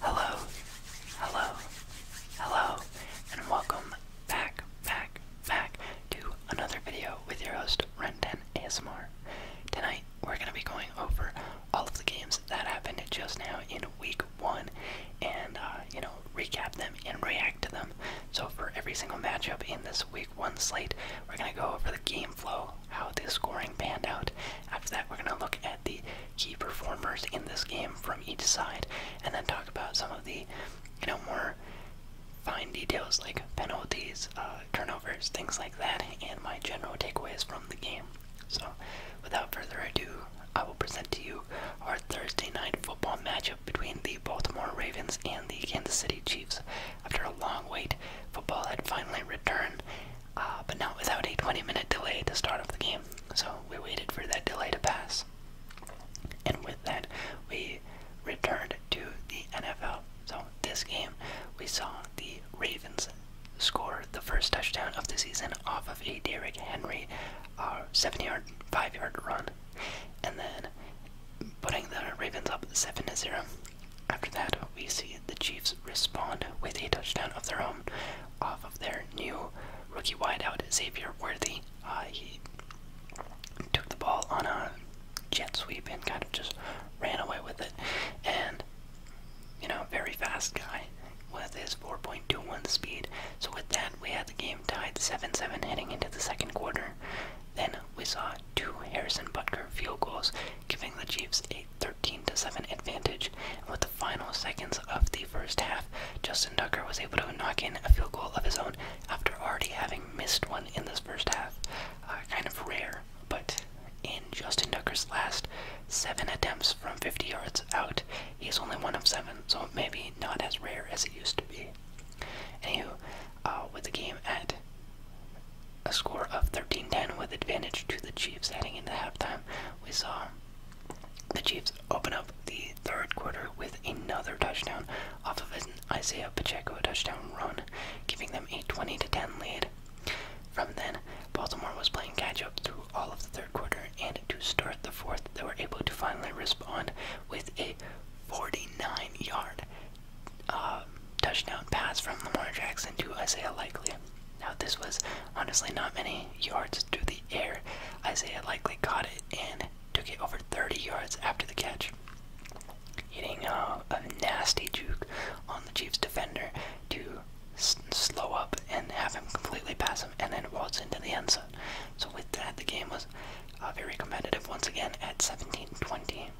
Hello, hello, hello, and welcome back, back, back to another video with your host, Rendan ASMR. Tonight, we're going to be going over all of the games that happened just now in week one and, uh, you know, recap them and react to them. So, for every single matchup in this week one slate, we're going to go over the game flow, how the scoring panned out. After that, we're going to look at the key performers in this game from each side, and then talk about some of the, you know, more fine details like penalties, uh, turnovers, things like that, and my general takeaways from the game. So, without further ado, I will present to you our Thursday night football matchup between the Baltimore Ravens and the Kansas City Chiefs. After a long wait, football had finally returned, uh, but not without a 20 minute delay to start off the game. So we waited for that delay to pass. And with that, we returned to the NFL. So this game, we saw the Ravens score the first touchdown of the season off of a Derrick Henry uh, 7 yard, 5 yard run. And then putting the Ravens up 7 to 0. After that, we see the Chiefs respond with a touchdown of their own off of their new rookie wideout Xavier Worthy. Uh, he took the ball on a jet sweep and kind of just ran away with it. And you know, very fast guy with his 4.21 speed. So with that, we had the game tied 7-7 heading into the second quarter. Then we saw two Harrison Butker field goals giving the Chiefs a 13-7 advantage. And with the final seconds of the first half, Justin Tucker was able to knock in a field goal of his own after already having missed one in this first half. Uh, kind of rare, but in Justin Tucker's last seven attempts from 50 yards out, he's only one of seven, so maybe not as rare as it used to be. Anywho, uh, with the game at a score of 13-10 with advantage to the Chiefs heading into halftime, we saw the Chiefs open up the third quarter with another touchdown off of an Isaiah Pacheco touchdown run, giving them a 20 to 10 lead. From then, Baltimore was playing catch up through all of the third quarter, and to start the fourth, they were able to finally respond with a 49 yard uh, touchdown pass from Lamar Jackson to Isaiah Likely. Now, this was honestly not many yards through the air. Isaiah likely caught it and took it over 30 yards after the catch. Hitting a nasty juke on the Chiefs defender to slow up and have him completely pass him and then waltz into the end zone. So, with that, the game was uh, very competitive once again at 17 20.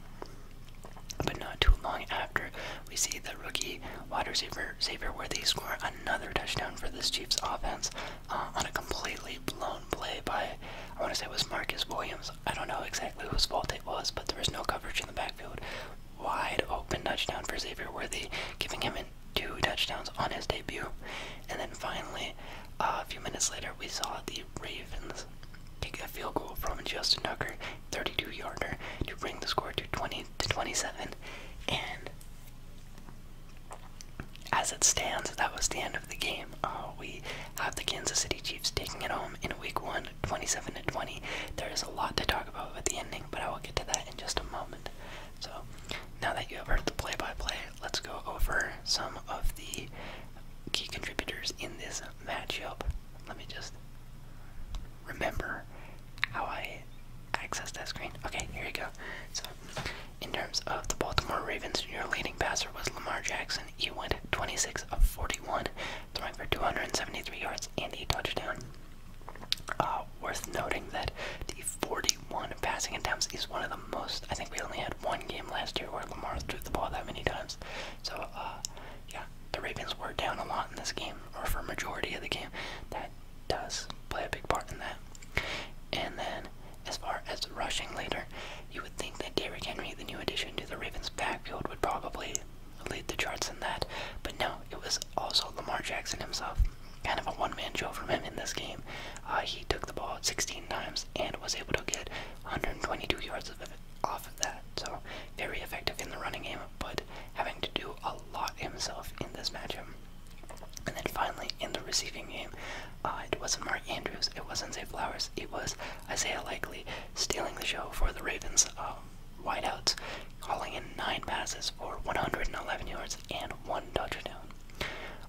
But not too long after, we see the rookie wide receiver Xavier Worthy score another touchdown for this Chiefs offense uh, on a completely blown play by, I want to say it was Marcus Williams. I don't know exactly whose fault it was, but there was no coverage in the backfield. Wide open touchdown for Xavier Worthy, giving him two touchdowns on his debut. And then finally, uh, a few minutes later, we saw the Ravens take a field goal from Justin Tucker, 32 yarder, to bring the score to 20 to 27. And as it stands, that was the end of the game. Uh, we have the Kansas City Chiefs taking it home in week one, 27 to 20. There is a lot to talk about with the ending, but I will get to that in just a moment. So, now that you have heard the play by play, let's go over some of the key contributors in this matchup. Let me just remember how I access that screen. Okay, here we go. So, in terms of the Baltimore Ravens, your leading passer was Lamar Jackson. He went 26 of 41, throwing for 273 yards and a touchdown. Uh, worth noting that the 41 passing attempts is one of the most. I think we only had one game last year where Lamar threw the ball that many times. So, uh, yeah, the Ravens were down a lot in this game, or for majority of the game does play a big part in that. And then, as far as rushing later, you would think that Derrick Henry, the new addition to the Ravens' backfield, would probably lead the charts in that. But no, it was also Lamar Jackson himself. Kind of a one-man show from him in this game. Uh, he took the ball 16 times and was able to get 122 yards off of that. So very effective in the running game, but having to do a lot himself in this matchup. And then finally, in the receiving game, uh, it wasn't Mark Andrews, it wasn't Zay Flowers, it was Isaiah Likely stealing the show for the Ravens uh, wideouts, hauling in nine passes for 111 yards and one touchdown.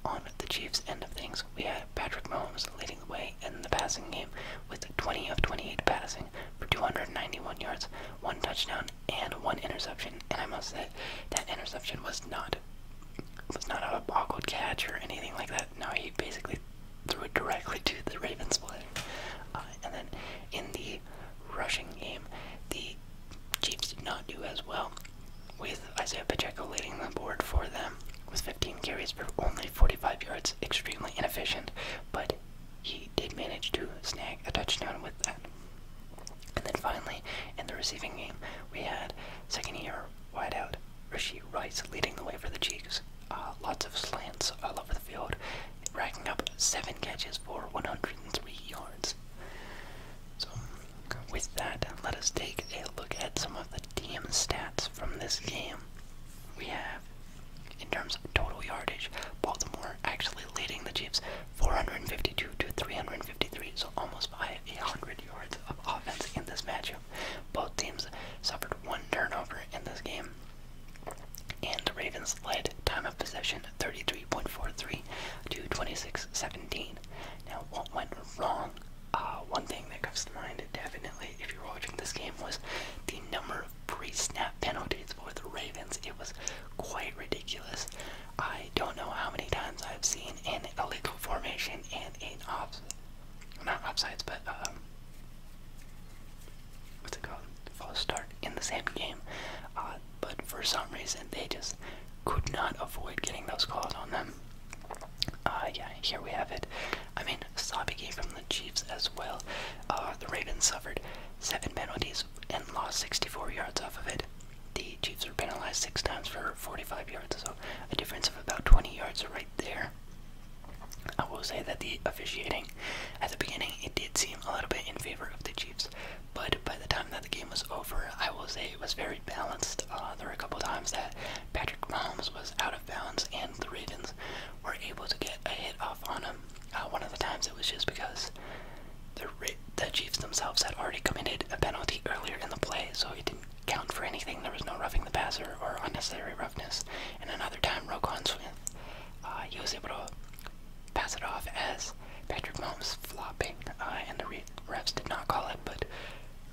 On the Chiefs' end of things, we had Patrick Mahomes leading the way in the passing game with 20 of 28 passing for 291 yards, one touchdown, and one interception. And I must say, that interception was not was not a boggled catch or anything like that. No, he basically threw it directly to the Ravens play. Uh, and then in the rushing game, the Chiefs did not do as well, with Isaiah Pacheco leading the board for them with 15 carries for only 45 yards. Extremely inefficient, but he did manage to snag a touchdown with that. And then finally, in the receiving game, we had second-year wideout Rishi Rice leading the way for the Chiefs. Uh, lots of slants all over the field, racking up seven catches for 103 yards. So, with that, let us take a look at some of the team stats from this game. We have, in terms of total yardage, Baltimore actually leading the Chiefs 452 to 353, so almost by 100 yards of offense in this matchup. Both teams suffered one turnover in this game, and the Ravens led time of possession 33.43 to 26.17. Now, what went wrong? Uh, one thing that comes to mind definitely if you're watching this game was the number of pre-snap penalties for the Ravens. It was quite ridiculous. I don't know how many times I've seen an illegal formation and an off, not offsides, but um, what's it called? False start in the same game. Uh, but for some reason, they just could not avoid getting those calls on them. Uh, yeah, here we have it. I mean, Sabiki from the Chiefs as well. Uh, the Ravens suffered seven penalties and lost 64 yards off of it the Chiefs were penalized six times for 45 yards, so a difference of about 20 yards right there. I will say that the officiating at the beginning it did seem a little bit in favor of the Chiefs, but by the time that the game was over, I will say it was very balanced. Uh, there were a couple times that Patrick Mahomes was out of bounds, and the Ravens were able to get a hit off on him. Uh, one of the times it was just because the Chiefs themselves had already committed a penalty earlier in the play, so it didn't count for anything. There was no roughing the passer or unnecessary roughness. And another time, Roquan Smith, uh, he was able to pass it off as Patrick Mahomes flopping, uh, and the refs did not call it. But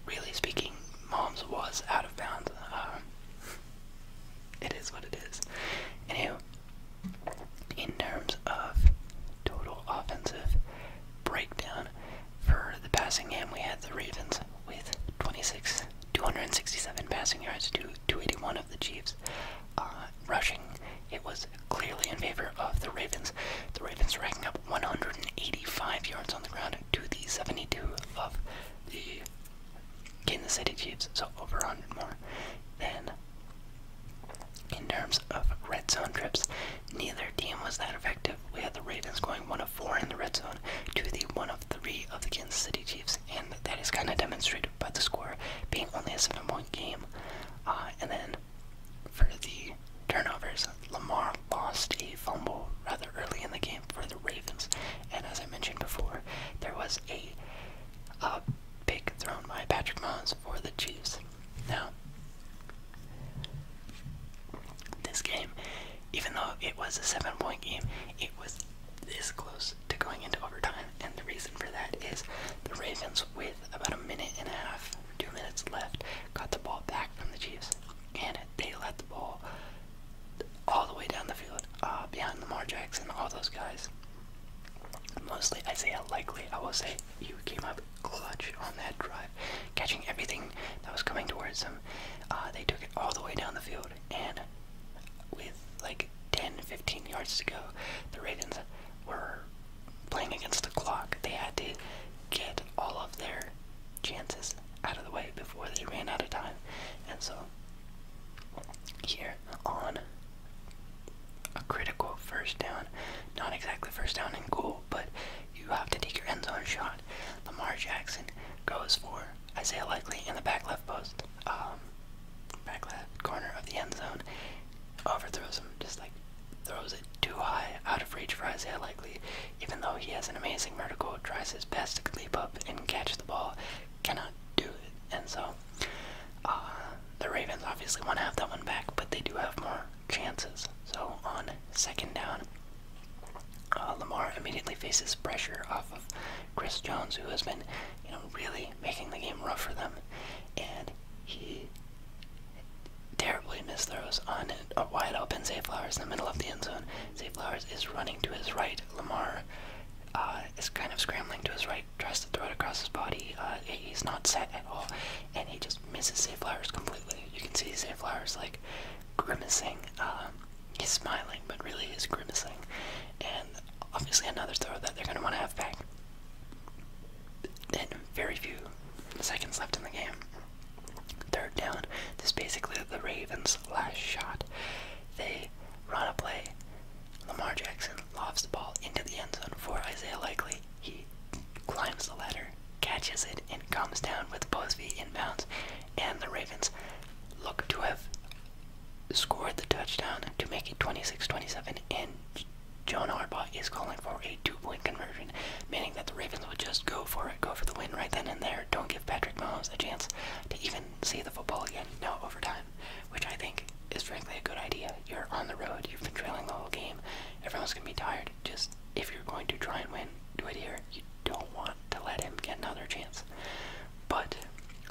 really speaking, Mahomes was out of bounds. Um, it is what it is. Anywho, in terms of total offensive breakdown for the passing game, we had the Ravens with 26, 267 passing yards to 281 of the Chiefs. Uh, rushing, it was clearly in favor of the Ravens. The Ravens racking up 185 yards on the ground to the 72 of the Kansas City Chiefs, so over 100 more than in terms of red zone trips, neither team was that effective. We had the Ravens going one of four in the red zone to the one of three of the Kansas City Chiefs, and that is kind of demonstrated by the score being only a seven-point game. Uh, and then for the turnovers, Lamar lost a fumble rather early in the game for the Ravens, and as I mentioned before, there was a uh, pick thrown by Patrick Mahomes for the Chiefs. Now, this game, even though it was a seven point game, it was this close to going into overtime, and the reason for that is the Ravens, with about a minute and a half, two minutes left, got the ball back from the Chiefs, and they let the ball all the way down the field, uh, behind Lamar Jackson, all those guys. Mostly Isaiah Likely, I will say, he came up clutch on that drive, catching everything that was coming towards them. Uh, they took it all the way down the field, and with like 10, 15 yards to go, the raiders were playing against the clock. They had to get all of their chances out of the way before they ran out of time. And so, here on a critical first down. Not exactly first down and goal, but you have to take your end zone shot. Lamar Jackson goes for Isaiah Likely in the back left post, um, back left corner of the end zone. Overthrows him, just like throws it too high, out of reach for Isaiah Likely. Even though he has an amazing vertical, tries his best to leap up and catch the ball, cannot do it. And so, uh, the Ravens obviously want to have that one back, but they do have more chances. So on second down, uh, Lamar immediately faces pressure off of Chris Jones, who has been, you know, really making the game rough for them, and he terribly misthrows on a wide open Zay in the middle of the end zone. Zay is running to his right. Lamar uh, is kind of scrambling to his right tries to throw it across his body. Uh, he's not set at all, and he just misses Zay Flowers completely. You can see Zay Flowers like grimacing. Um, he's smiling, but really is grimacing. And obviously, another throw that they're going to want to have back. And very few seconds left in the game. Third down. This is basically the Ravens' last shot. They run a play. Lamar Jackson lobs the ball into the end zone for Isaiah Likely. He climbs the ladder, catches it, and comes down with both feet in bounds. And the Ravens look to have scored the touchdown to make it 26-27. And John Harbaugh is calling for a two-point conversion, meaning that the Ravens would just go for it, go for the win right then and there. Don't give Patrick Mahomes a chance to even see the football again. No overtime, which I think is frankly a good idea you're on the road. You've been trailing the whole game. Everyone's gonna be tired. Just if you're going to try and win, do it here. You don't want to let him get another chance. But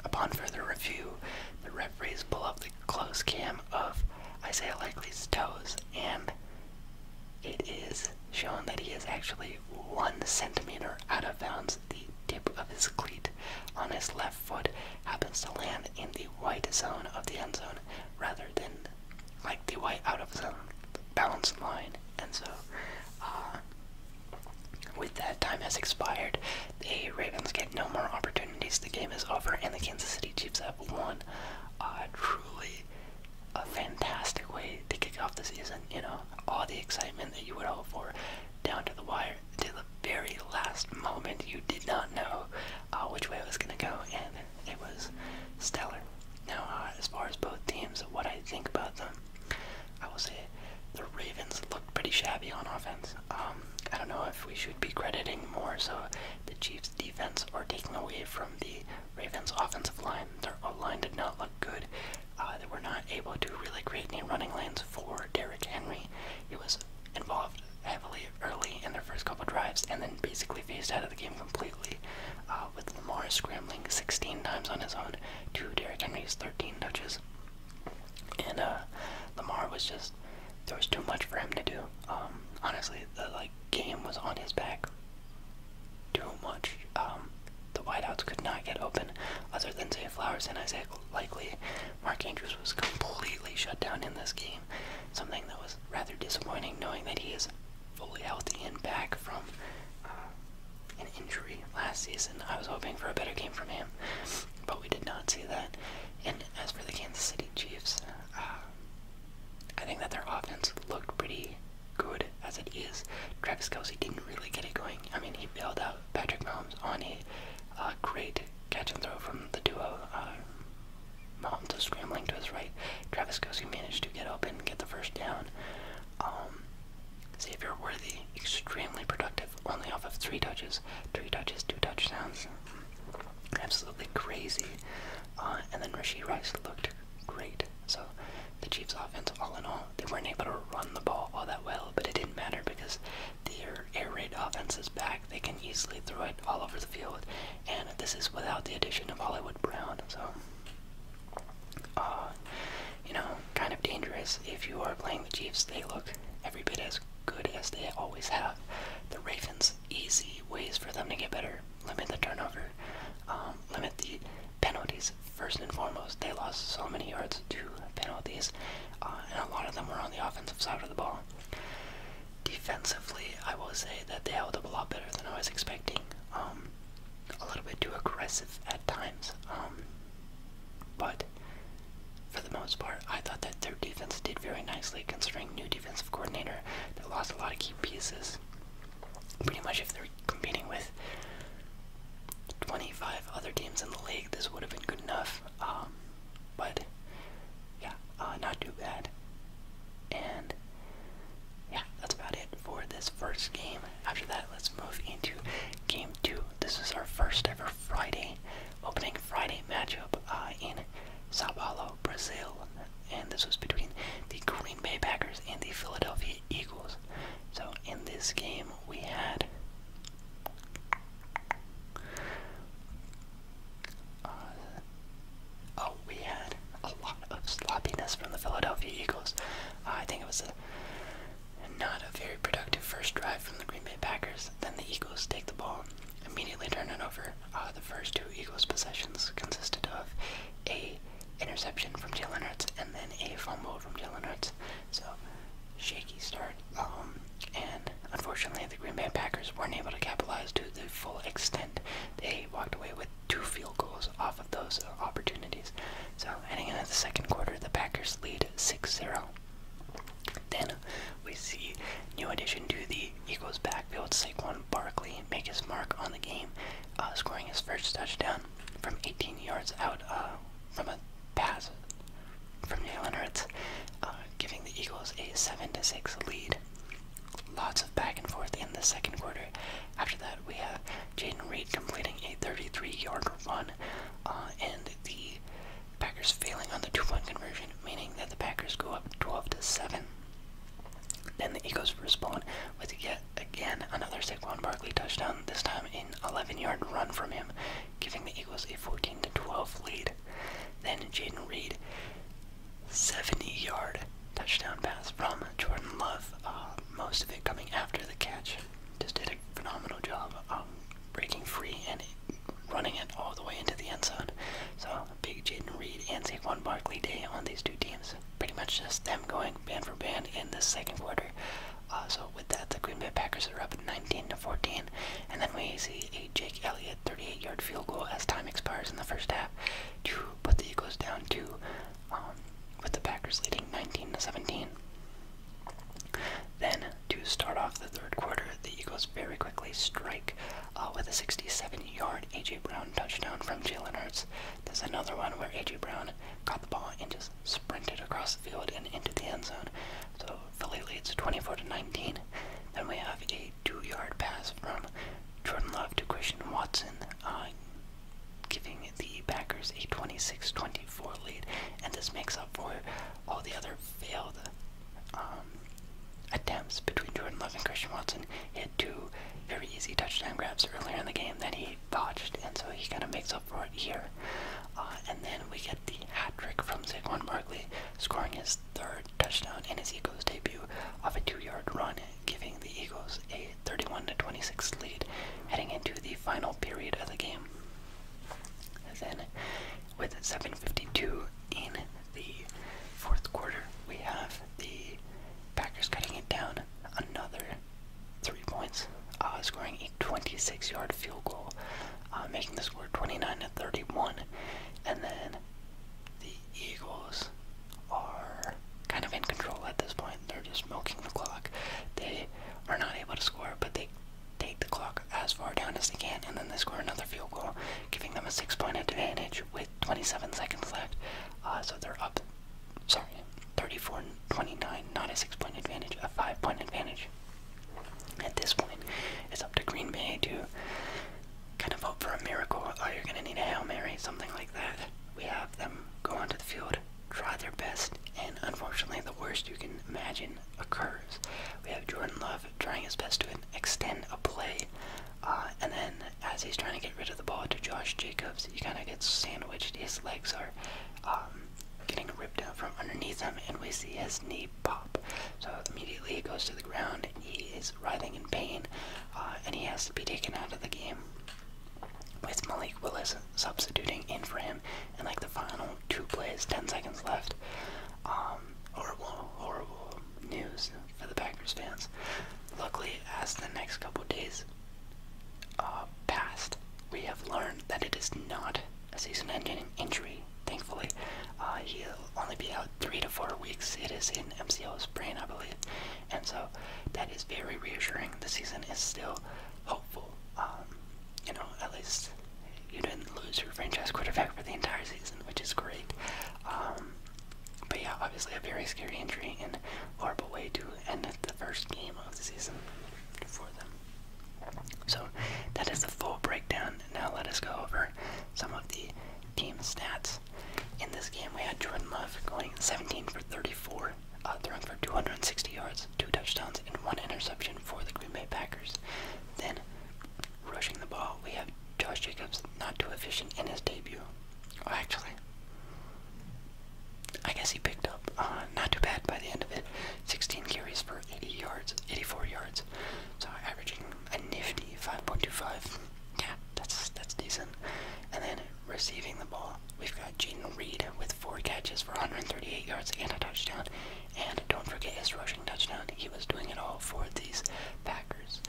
upon further review, the referees pull up the close cam of Isaiah Likely's toes, and it is shown that he is actually one centimeter out of bounds. The tip of his cleat on his left foot happens to land in the white zone of the end zone rather rather than like the white out of the balance line. And so, uh, with that time has expired, the Ravens get no more opportunities. The game is over, and the Kansas City Chiefs have won. Uh, truly, a fantastic way to kick off the season. You know, all the excitement that you would hope for, down to the wire, to the very last moment. You did not know uh, which way it was gonna go, and it was stellar. Now, uh, as far as both teams, what I think about them, I will say the Ravens looked pretty shabby on offense. Um, I don't know if we should be crediting more so the Chiefs' defense or taking away from the Ravens' offensive line. Their line did not look good. Uh, they were not able to really create any running lanes for Derrick Henry. He was involved heavily early in their first couple drives and then basically phased out of the game completely. Uh, with Lamar scrambling 16 times on his own to Derrick Henry's 13 touches. And uh, Lamar was just, there was too much for him to do. Um, honestly, the like game was on his back. Too much. Um, the wideouts could not get open other than say Flowers and Isaiah Likely. Mark Andrews was completely shut down in this game. Something that was rather disappointing, knowing that he is fully healthy and back from uh, an injury last season. I was hoping for a better game from him, but we did not see that. And as for the Kansas City Chiefs, uh, I think that their offense looked pretty good as it is. Travis Kelsey didn't really get it going. I mean, he failed out Patrick Mahomes on a uh, great catch and throw from the duo. Mahomes scrambling to his right. Travis Kelsey managed to get open, and get the first down. Um, Xavier Worthy, extremely productive, only off of three touches. Three touches, two touchdowns. Absolutely crazy. Uh, and then Rasheed Rice looked great. So the Chiefs' offense, all in all, they weren't able to run the ball all that well, but it didn't matter because their air raid offense is back they can easily throw it all over the field. And this is without the addition of Hollywood Brown. So, uh, you know, kind of dangerous. If you are playing the Chiefs, they look every bit as good as they always have. The Ravens, easy ways for them to get better. Limit the turnover, um, limit the penalties. First and foremost, they lost so many yards to penalties, uh, and a lot of them were on the offensive side of the ball. Defensively, I will say that they held up a lot better than I was expecting. Um, a little bit too aggressive at times. Um, but for the most part, I thought that their defense did very nicely considering new defensive coordinator that lost a lot of key pieces. Pretty much, if they're competing with 25 other teams in the league, this would have been good enough. Um, but yeah, uh, not too bad. And yeah, that's about it for this first game. After that, let's move into game two. This is our first ever Friday opening Friday matchup uh, in Sao Paulo, Brazil, and this was between the Green Bay Packers and the Philadelphia Eagles. So in this game, we had uh, oh, we had a lot of sloppiness from the Philadelphia Eagles. Uh, I think it was not a very productive first drive from the Green Bay Packers. Then the Eagles take the ball, immediately turn it over. Uh, the first two Eagles possessions consisted of a interception from Jalen Hurts and then a fumble from Jalen Hurts. So shaky start. Um, and unfortunately, the Green Bay Packers weren't able to capitalize to the full extent. They walked away with two field goals off of those opportunities. So, heading into the second quarter, the Packers lead 6 0. Then we see new addition to the Eagles backfield, Saquon Barkley, make his mark on the game, uh, scoring his first touchdown from 18 yards out uh, from a pass from Jalen Hurts, uh, giving the Eagles a 7-6 lead. Lots of back and forth in the second quarter. After that, we have Jaden Reed completing a 33-yard run, uh, and the Packers failing on the two-point conversion, meaning that the Packers go up 12 to seven. Then the Eagles respond with yet again another Saquon Barkley touchdown. This time, in 11-yard run from him, giving the Eagles a 14 to 12 lead. Then Jaden Reed 70-yard touchdown pass from Jordan Love. Uh, most of it coming after the catch. Just did a phenomenal job um, breaking free and running it all the way into the end zone. So big Jaden Reed and Saquon Barkley day on these two teams. Pretty much just them going band for band in the second quarter. Uh, so with that, the Green Bay Packers are up 19 to 14, and then we see Jake Elliott. 38-yard field goal as time expires in the first half to put the Eagles down to, um, with the Packers leading 19 to 17. Then, to start off the third quarter, the Eagles very quickly strike uh, with a 67-yard A.J. Brown touchdown from Jalen Hurts. There's another one where A.J. Brown got the ball and just sprinted across the field and into the end zone. So Philly leads 24 to 19. Then we have a two-yard pass from Jordan Love to Christian Watson, uh, giving the Packers a 26-24 lead, and this makes up for all the other failed um, attempts between Jordan Love and Christian Watson. He had two very easy touchdown grabs earlier in the game that he botched, and so he kind of makes up for it here. Uh, and then we get the hat trick from Saquon Barkley, scoring his third touchdown in his Eagles debut off a two-yard run giving the Eagles a 31 26 lead heading into the final period of the game. then, with 7.52 in the fourth quarter, we have the Packers cutting it down another three points, uh, scoring a 26 yard field goal, uh, making the score 29 31. And then the Eagles are kind of in control at this point. They're just milking the clock. They are not able to score, but they take the clock as far down as they can, and then they score another field goal, giving them a six-point advantage with 27 seconds left. Uh, so they're up, sorry, 34-29, not a six-point advantage, a five-point advantage. At this point, it's up to Green Bay to kind of hope for a miracle, or oh, you going to need a Hail Mary, something like that. We have them go onto the field, try their best, and unfortunately, the worst you can imagine occurs. We have Jordan Love trying his best to extend a play, uh, and then as he's trying to get rid of the ball to Josh Jacobs, he kind of gets sandwiched. His legs are um, getting ripped out from underneath him, and we see his knee pop. So immediately he goes to the ground, he is writhing in pain, uh, and he has to be taken out of the game. With Malik Willis substituting in for him in like the final two plays, 10 seconds left. Um, horrible, horrible news for the Packers fans. Luckily, as the next couple days uh, passed, we have learned that it is not a season-ending injury. Thankfully, uh, he'll only be out three to four weeks. It is in MCL's brain, I believe and so that is very reassuring. The season is still hopeful. Um, you know, at least you didn't lose your franchise quarterback for the entire season, which is great. Um, but yeah, obviously a very scary injury and horrible way to end the first game of the season for them. So that is the full breakdown. Now let us go over some of the team stats. In this game, we had Jordan Love going 17 for 34, uh, throwing for 260 yards, two touchdowns, and one interception for the Green Bay Packers. Then, rushing the ball, we have Josh Jacobs not too efficient in his debut. Oh, actually, I guess he picked up. Uh, not too bad by the end of it. 16 carries for 80 yards, 84 yards. So averaging a nifty 5.25 yeah, that's that's decent. And then receiving the ball, we've got Jaden Reed with four catches for 138 yards and a touchdown. And don't forget his rushing touchdown. He was doing it all for these Packers.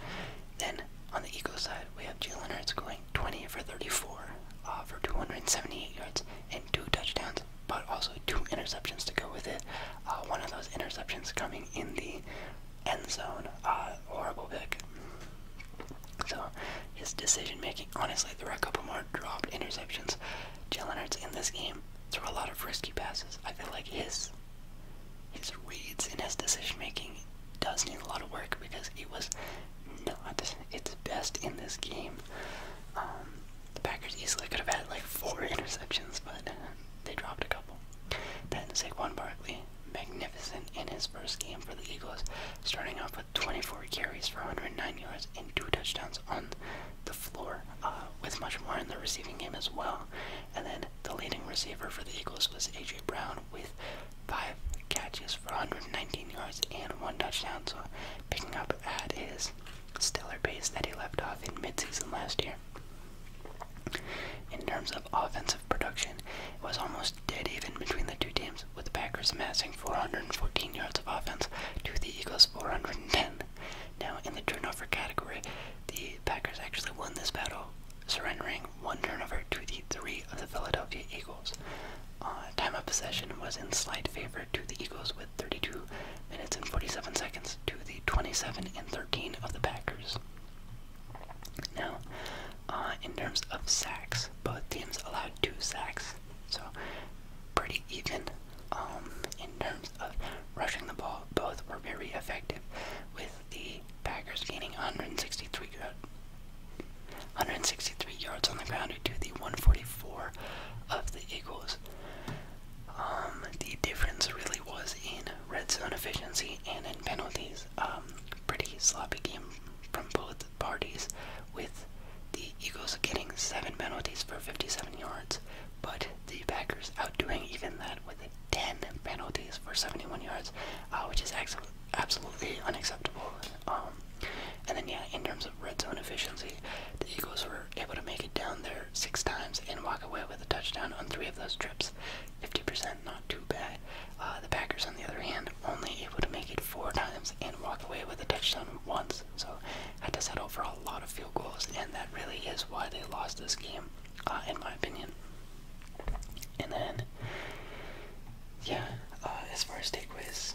Then on the Eagles side, we have Jalen Hurts going 20 for 34 uh, for 278 yards and two touchdowns, but also two interceptions to go with it. Uh, one of those interceptions coming in the end zone. Uh, horrible pick. So his decision making, honestly, there were a couple more dropped interceptions. Jalen Hurts in this game threw a lot of risky passes. I feel like his his reads and his decision making does need a lot of work because it was not its best in this game. Um, the Packers easily could have had like four interceptions, but they dropped a couple. Then Saquon Barkley magnificent in his first game for the Eagles, starting off with 24 carries for 109 yards and two touchdowns on the floor, uh, with much more in the receiving game as well. And then the leading receiver for the Eagles was A.J. Brown with five catches for 119 yards and one touchdown, so picking up at his stellar pace that he left off in midseason last year. In terms of offensive production was almost dead even between the two teams, with the Packers amassing 414 yards of offense to the Eagles 410. Now, in the turnover category, the Packers actually won this battle, surrendering one turnover to the three of the Philadelphia Eagles. Uh, time of possession was in slight favor to the Eagles with 32 minutes and 47 seconds to the 27 and 13 of the Packers. Now, uh, in terms of sacks, both teams allowed two sacks, so pretty even. Um, in terms of rushing the ball, both were very effective, with the Packers gaining 163 yards. 163 yards on the ground to the 144 of the Eagles. Um, the difference really was in red zone efficiency and in penalties. Um, pretty sloppy game from both parties, with the Eagles getting seven penalties for 57 yards, but the Packers outdoing even that with 10 penalties for 71 yards, uh, which is absolutely unacceptable. Um, and then, yeah, in terms of red zone efficiency, the Eagles were able to make it down there six times and walk away with a touchdown on three of those trips. 50%, not too bad. Uh, the Packers, on the other hand, only able to make it four times and walk away with a touchdown once. So had to settle for a lot of field goals, and that really is why they lost this game, uh, in my opinion. And then, yeah, uh, as far as takeaways,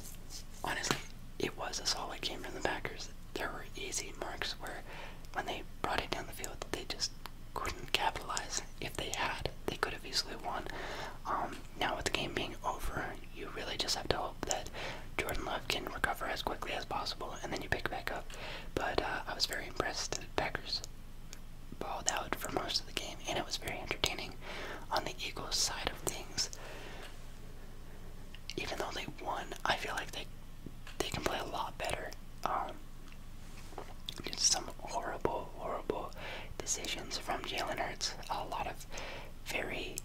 honestly, it was a solid game from the Packers. There were easy marks where, when they brought it down the field, they just couldn't capitalize. If they had, they could have easily won. Um, now with the game being over, you really just have to hope that Jordan Love can recover as quickly as possible, and then you pick back up. But uh, I was very impressed that Packers balled out for most of the game, and it was very entertaining. On the Eagles side of things, even though they won, I feel like they they can play a lot better. Um, just some horrible, horrible decisions from Jalen Hurts. A lot of very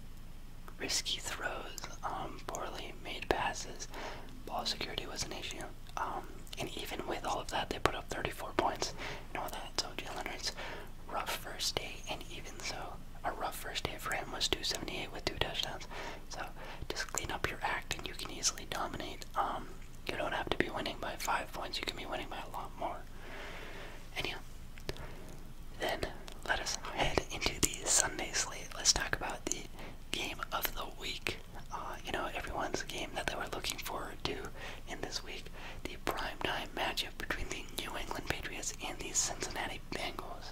risky throws, um, poorly made passes. Ball security was an issue. Um, and even with all of that, they put up 34 points and all that. So Jalen Hurts, rough first day, and even so, a rough first day for him was 278 with two touchdowns. So just clean up your act, and you can easily dominate. Um, you don't have to be winning by five points, you can be winning by a lot more. And then let us head into the Sunday slate. Let's talk about the game of the week. Uh, you know, everyone's game that they were looking forward to in this week. The primetime matchup between the New England Patriots and the Cincinnati Bengals.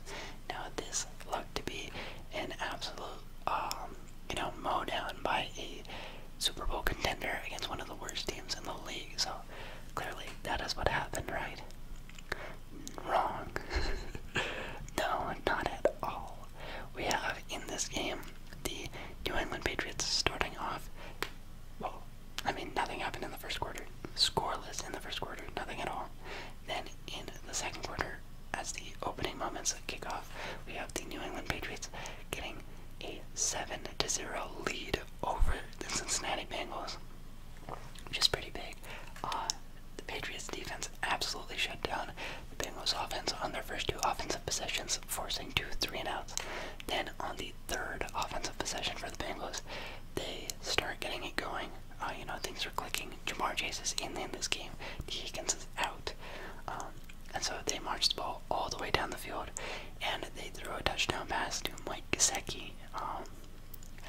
Now, this looked to be an absolute, um, you know, mow down by a Super Bowl contender against one of the worst teams in the league. So clearly that is what happened, right? Wrong. no, not at all. We have in this game the New England Patriots starting off. Well, I mean, nothing happened in the first quarter. Scoreless in the first quarter, nothing at all. Then in the second quarter, as the opening moments kick off, we have the New England Patriots getting a 7 to 0 lead over the Cincinnati Bengals, which is pretty big. Uh, the Patriots defense absolutely shut down the Bengals offense on their first two offensive possessions, forcing two three and outs. Then on the third offensive possession for the Bengals, they start getting it going. Uh, you know, things are clicking. Jamar Chase is in, in this game. Higgins is out. Um, and so they march the ball all the way down the field, and they throw a touchdown pass to Mike Gesicki. Um,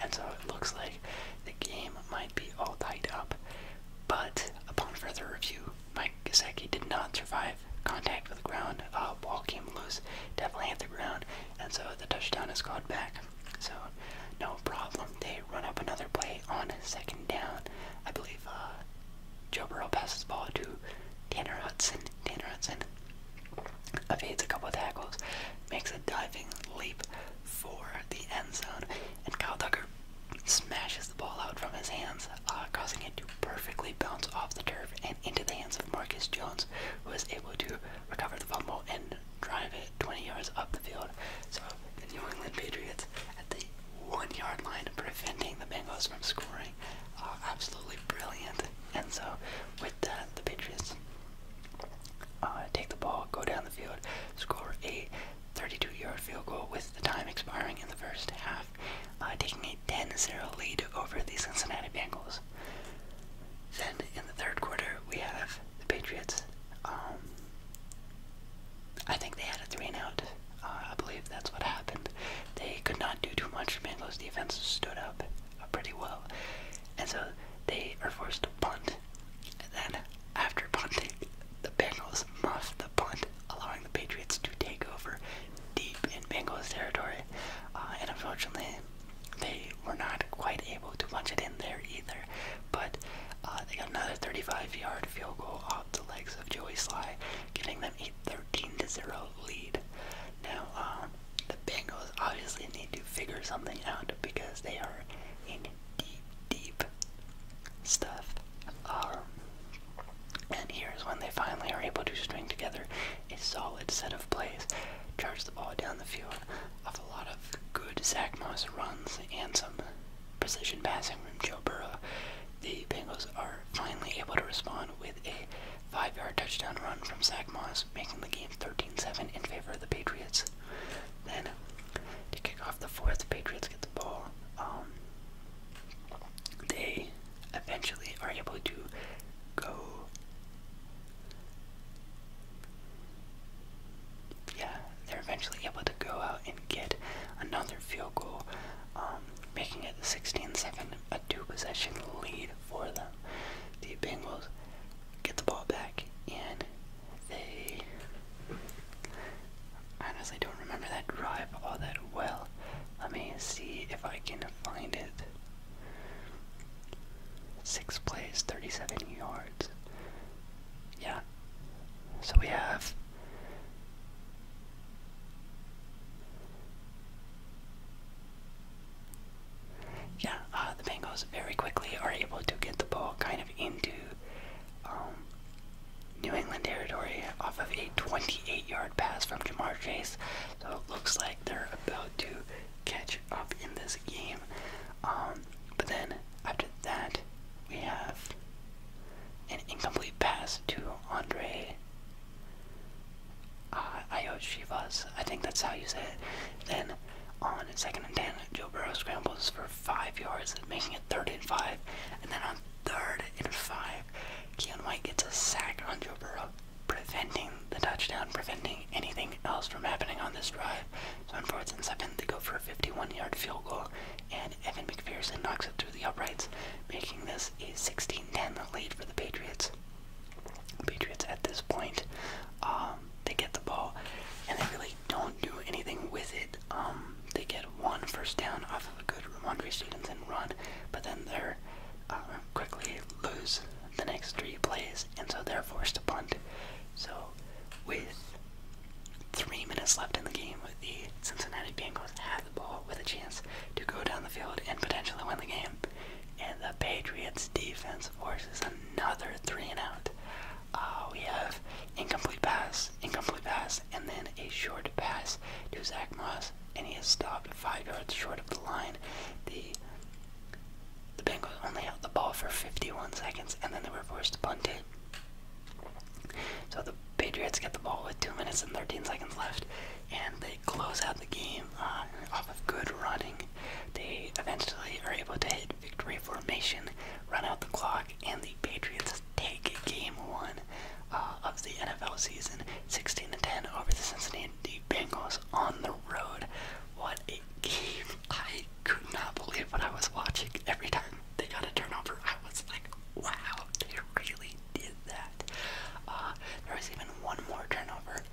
and so it looks like the game might be all tied up. But upon further review, Mike Gesicki did not survive contact with the ground. Uh, ball came loose, definitely hit the ground, and so the touchdown is called back. So no problem. They run up another play on second down. I believe uh, Joe Burrow passes the ball to Tanner Hudson, Dean Hudson evades a couple of tackles, makes a diving leap for the end zone, and Kyle Tucker smashes the ball out from his hands, uh, causing it to perfectly bounce off the turf and into the hands of Marcus Jones, who is able to recover the fumble and drive it 20 yards up the field. So the New England Patriots at the one-yard line, preventing the Bengals from scoring are absolutely brilliant. And so, with the Patriots uh, take the ball, go down the field, score a 32-yard field goal with the time expiring in the first half, uh, taking a 10-0 lead over the Cincinnati Bengals. Then in the third quarter, we have the Patriots. Um, I think they had a three and out. Uh, I believe that's what happened. They could not do too much. Mango's defense stood up uh, pretty well. And so they are forced to punt. And then, after punting, the Bengals muffed the punt, allowing the Patriots to take over deep in Bengals territory. Uh, and unfortunately, they were not quite able to punch it in there either. But uh, they got another 35 yard field goal off the legs of Joey Sly, giving them 13 to 0 lead. Now, uh, the Bengals obviously need to figure something out because they are in deep, deep stuff. Um, and here's when they finally are able to string together a solid set of plays, charge the ball down the field off a lot of good Zach Moss runs and some precision passing from Joe Burrow. The Bengals are finally able to respond with a Five yard touchdown run from Zach Moss, making the game 13 7 in favor of the Patriots. Then, to kick off the fourth, Patriots get the ball. Um, they eventually are able to go. Yeah, they're eventually able to go out and get another field goal. Um, making it 16-7, a two-possession lead for them. The Bengals get the ball back, and they honestly don't remember that drive all that well. Let me see if I can find it. Six plays, 37 yards. Yeah. So we have yeah, uh, the Bengals very quickly are able to get the ball kind of into um, New England territory off of a 28 yard pass from Jamar Chase. So it looks like they're about to catch up in this game. Um, but then after that, we have an incomplete pass to Andre uh, I think that's how you say it. Then on second and ten, Joe Burrow scrambles for five yards, making it third and five. And then on third and five, Keon White gets a sack on Joe Burrow, preventing the touchdown, preventing anything else from happening on this drive. So on fourth and seven, they go for a 51-yard field goal, and Evan McPherson knocks it through the uprights, making this a 16-10 lead for the Patriots. Patriots at this point. Um, they get the ball and they really don't do anything with it. Um, they get one first down off of a good Ramondre Stevenson run, but then they're uh, quickly lose the next three plays, and so they're forced to punt. So, with three minutes left in the game, with the Cincinnati Bengals have the ball with a chance to go down the field and potentially win the game. And the Patriots defense forces another three and out. Uh, we have incomplete pass, incomplete pass, and then a short pass to Zach Moss, and he is stopped five yards short of the line. The the Bengals only held the ball for 51 seconds, and then they were forced to punt it. So the Patriots get the ball with 2 minutes and 13 seconds left, and they they close out the game uh, off of good running. They eventually are able to hit victory formation, run out the clock, and the Patriots take game one uh, of the NFL season 16 10 over the Cincinnati Bengals on the road. What a game! I could not believe what I was watching every time they got a turnover. I was like, wow, they really did that. Uh, there was even one more turnover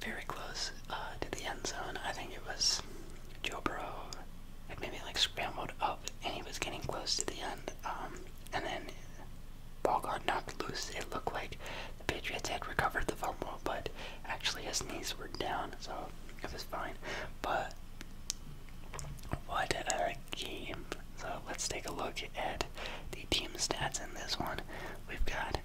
very close uh, to the end zone. I think it was Joe Burrow had maybe like scrambled up and he was getting close to the end. Um, and then ball got knocked loose. It looked like the Patriots had recovered the fumble, but actually his knees were down, so it was fine. But what a game so let's take a look at the team stats in this one. We've got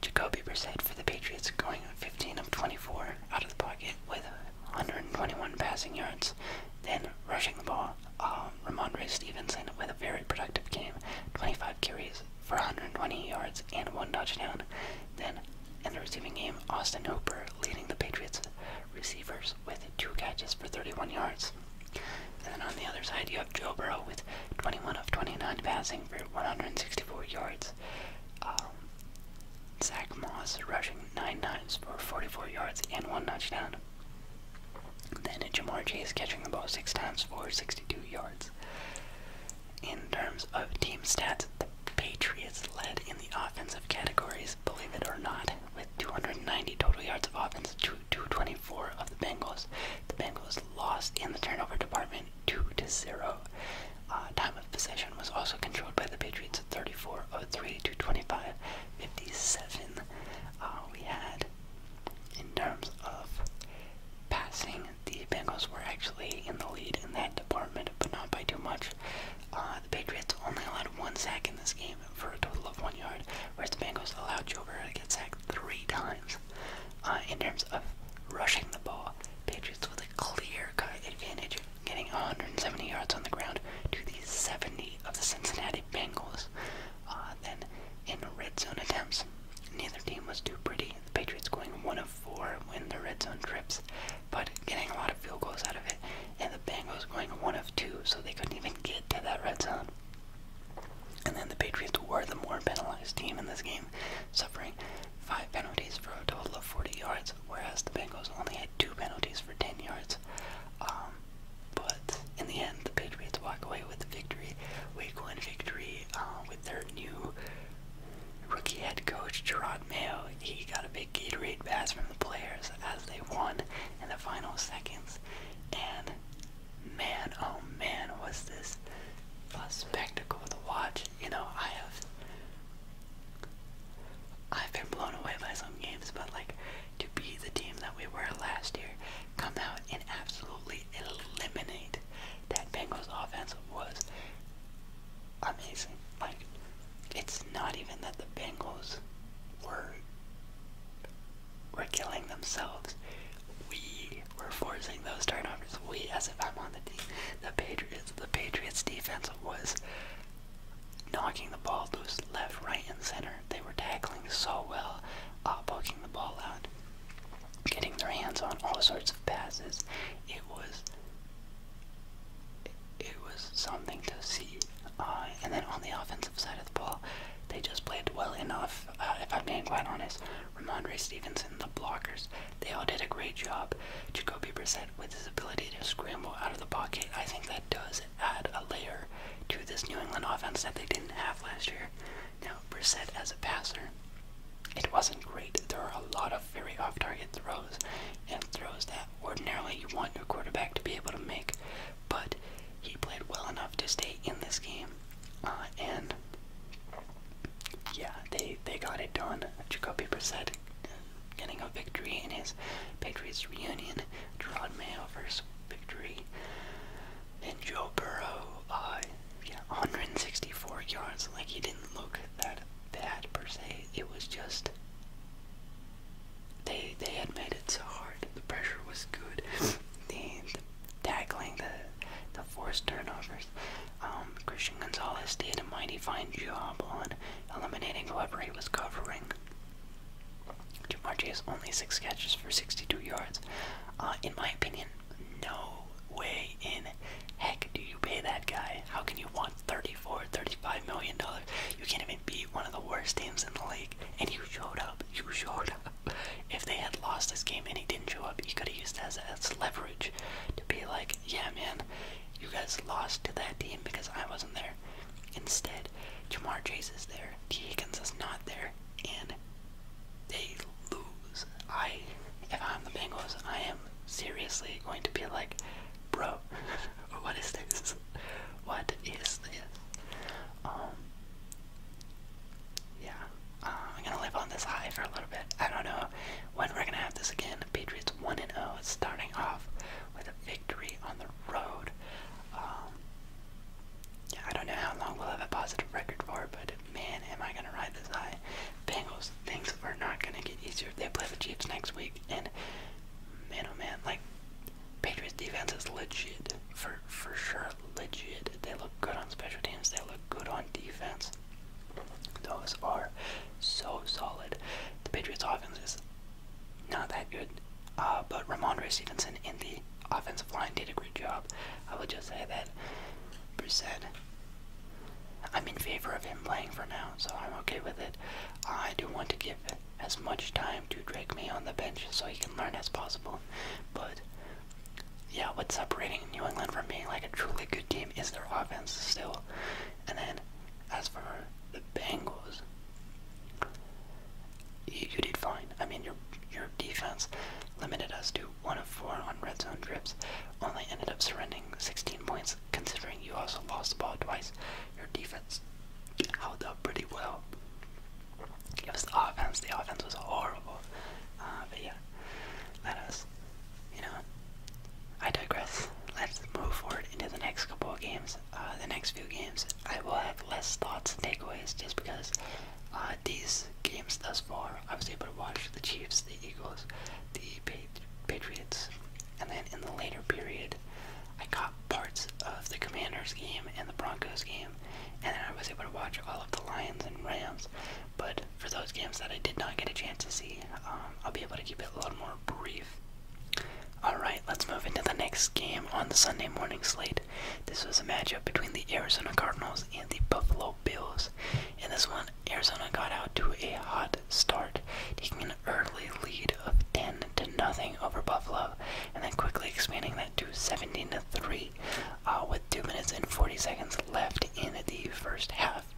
Jacoby Brissett for the Patriots going 15 of 24 out of the pocket with 121 passing yards. Then rushing the ball, um, Ramondre Stevenson with a very productive game, 25 carries for 120 yards and one touchdown. Then in the receiving game, Austin Hooper leading the Patriots receivers with two catches for 31 yards. And then on the other side, you have Joe Burrow with 21 of 29 passing for 164 yards. Um, Zach Moss rushing nine times for 44 yards and one touchdown. Then Jamar Chase catching the ball six times for 62 yards. In terms of team stats, the Patriots led in the offensive categories, believe it or not, with 290 total yards of offense to 224 of the Bengals. The Bengals lost in the turnover department 2 to 0. Uh, time of possession was also controlled by the Patriots 34 03 57. Uh, we had, in terms of passing, the Bengals were actually in the lead in that department, but not by too much. Uh, the Patriots only allowed one sack in this game for a total of one yard, whereas the Bengals allowed Joe Burrow get sacked three times. Uh, in terms of rushing the ball, Patriots with a clear-cut advantage, getting 170 yards on the ground to the 70 of the Cincinnati Bengals. Uh, then in red zone attempts, neither team was too pretty. The Patriots going one of four when the red zone trips, but getting a lot of field goals out of it, and the Bengals going one of two, so they couldn't even get to that red zone. And then the Patriots were the more penalized team in this game, suffering five penalties for a total of 40 yards, whereas the Bengals only had two penalties for 10 yards. Um, but in the end, the Patriots walk away with the victory, week one victory, uh, with their new rookie head coach, Gerard Mayo. He got a big Gatorade pass from the players as they won in the final seconds. And man, oh man, was this a spectacle to watch. You know, I have I've been blown away by some games, but like to be the team that we were last year, come out and absolutely eliminate that Bengals offense was amazing. Like, it's not even that the Bengals were were killing themselves. We were forcing those turnovers. We, as if I'm on the team, the Patriots. The Patriots defense was knocking the ball loose left, right, and center. They were tackling so well, uh, poking the ball out, getting their hands on all sorts of passes. It was, it, was something to see. Uh, and then on the offensive side of the ball, they just played well enough, uh, if I'm being quite honest. Ramondre Stevenson, the blockers, they all did a great job. Jacoby Brissett, with his ability to scramble out of the pocket, I think that does add a layer to this New England offense that they didn't have last year. Now, Brissett as a passer, it wasn't great. There are a lot of very off-target throws and throws that ordinarily you want your quarterback to be able to make, but he played well enough to stay in this game. Uh, and yeah, they they got it done. Jacoby Brissett uh, getting a victory in his Patriots reunion. Gerard Mayo victory. And Joe Burrow, uh, yeah, 164 yards. Like he didn't look that bad per se. It was just they they had made it so hard. The pressure was good tackling the the forced turnovers. Um, Christian Gonzalez did a mighty fine job on eliminating whoever he was covering. Jamar has only six catches for 62 yards. Uh, in my opinion, no way in heck do you pay that guy. How can you want 34, 35 million dollars? You can't even beat one of the worst teams in the league, and you showed up. You showed up. if they had lost this game and he didn't show up, he could have used as, leverage to be like, yeah, man, you guys lost to that team because I wasn't there. Instead, Jamar Chase is there, T. Higgins is not there, and they lose. I, if I'm the Bengals, I am seriously going to be like, bro, what is this? What is this? Um, yeah, um, I'm gonna live on this high for a little bit. I don't know when we're gonna have this again. Patriots 1 and 0, starting off with a victory on the road. Um, yeah, I don't know how long we'll have a positive record for, but man, am I gonna ride this high. Bengals, things are not gonna get easier. They play the Chiefs next week, and man, oh man, like Patriots defense is legit for for sure legit. They look good on special teams. They look good on defense. Those are so solid. The Patriots' offense is not that good, uh, but Ramondre Stevenson in the offensive line did a great job. I will just say that Bruce said, I'm in favor of him playing for now, so I'm okay with it. I do want to give as much time to Drake me on the bench so he can learn as possible, but yeah, what's separating New England from being like a truly good team is their offense still. And then as for the Bengals, you, did fine. I mean, your your defense limited us to one of four on red zone trips. Only ended up surrendering 16 points, considering you also lost the ball twice. Your defense held up pretty well. Give us the offense. The offense was horrible. Uh, but yeah, let us, you know, I digress. Let's move forward into the next couple of games. Uh, the next few games, I will have less thoughts and takeaways just because uh, these games thus far, I was able to watch the Chiefs, the Eagles, the Patriots, and then in the later period, I got parts of the Commanders game and the Broncos game and then I was able to watch all of the Lions and Rams. But for those games that I did not get a chance to see, um, I'll be able to keep it a little more brief. Alright, let's move into the next game on the Sunday morning slate. This was a matchup between the Arizona Cardinals and the Buffalo Bills. and this one, Arizona got out to a hot start, taking an early lead of 10 to nothing over Buffalo, and then quickly expanding that to 17 to 3 uh, with two minutes and 40 seconds left in the first half.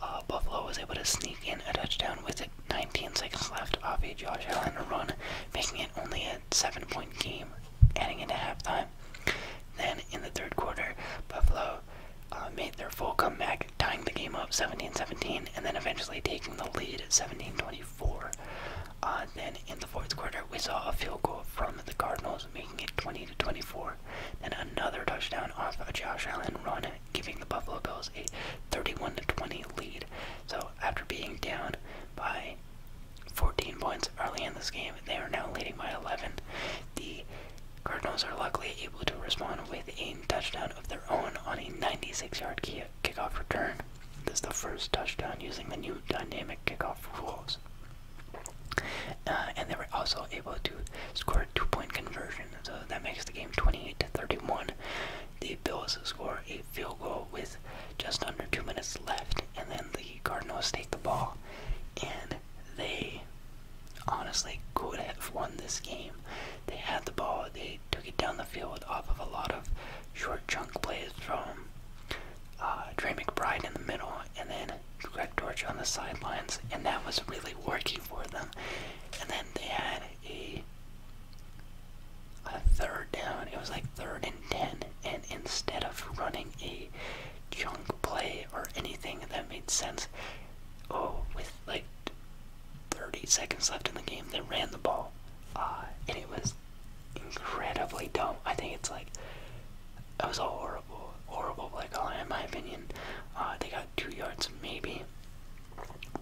Uh, Buffalo was able to sneak in a touchdown with 19 seconds left off a Josh Allen run, making it only a seven-point game, heading into halftime. Then in the third quarter, Buffalo uh, made their full comeback, tying the game up 17-17, and then eventually taking the lead at 17-24. then in the fourth quarter, we saw a field goal from the Cardinals making it 20 to 24. Then another touchdown off a Josh Allen run, giving the Buffalo Bills a 31 to 20 lead. So after being down by 14 points early in this game, they are now leading by 11. The Cardinals are luckily able to respond with a touchdown of their own on a 96-yard kickoff return. This is the first touchdown using the new dynamic kickoff rules. Uh, and they were also able to score a two-point conversion, so that makes the game 28 to 31. The Bills score a field goal with just under two minutes left, and then the Cardinals take the ball, and they honestly could have won this game. They had the ball, they took it down the field off of a lot of short chunk plays from uh, Dre McBride in the middle, and then Greg Dortch on the sidelines, and that was really working for them. And then they had a, a third down. It was like third and ten, and instead of running a junk play or anything that made sense, oh, with like 30 seconds left in the game, they ran the ball, uh, and it was incredibly dumb. I think it's like. That was a horrible horrible, like play calling in my opinion. Uh, they got two yards maybe.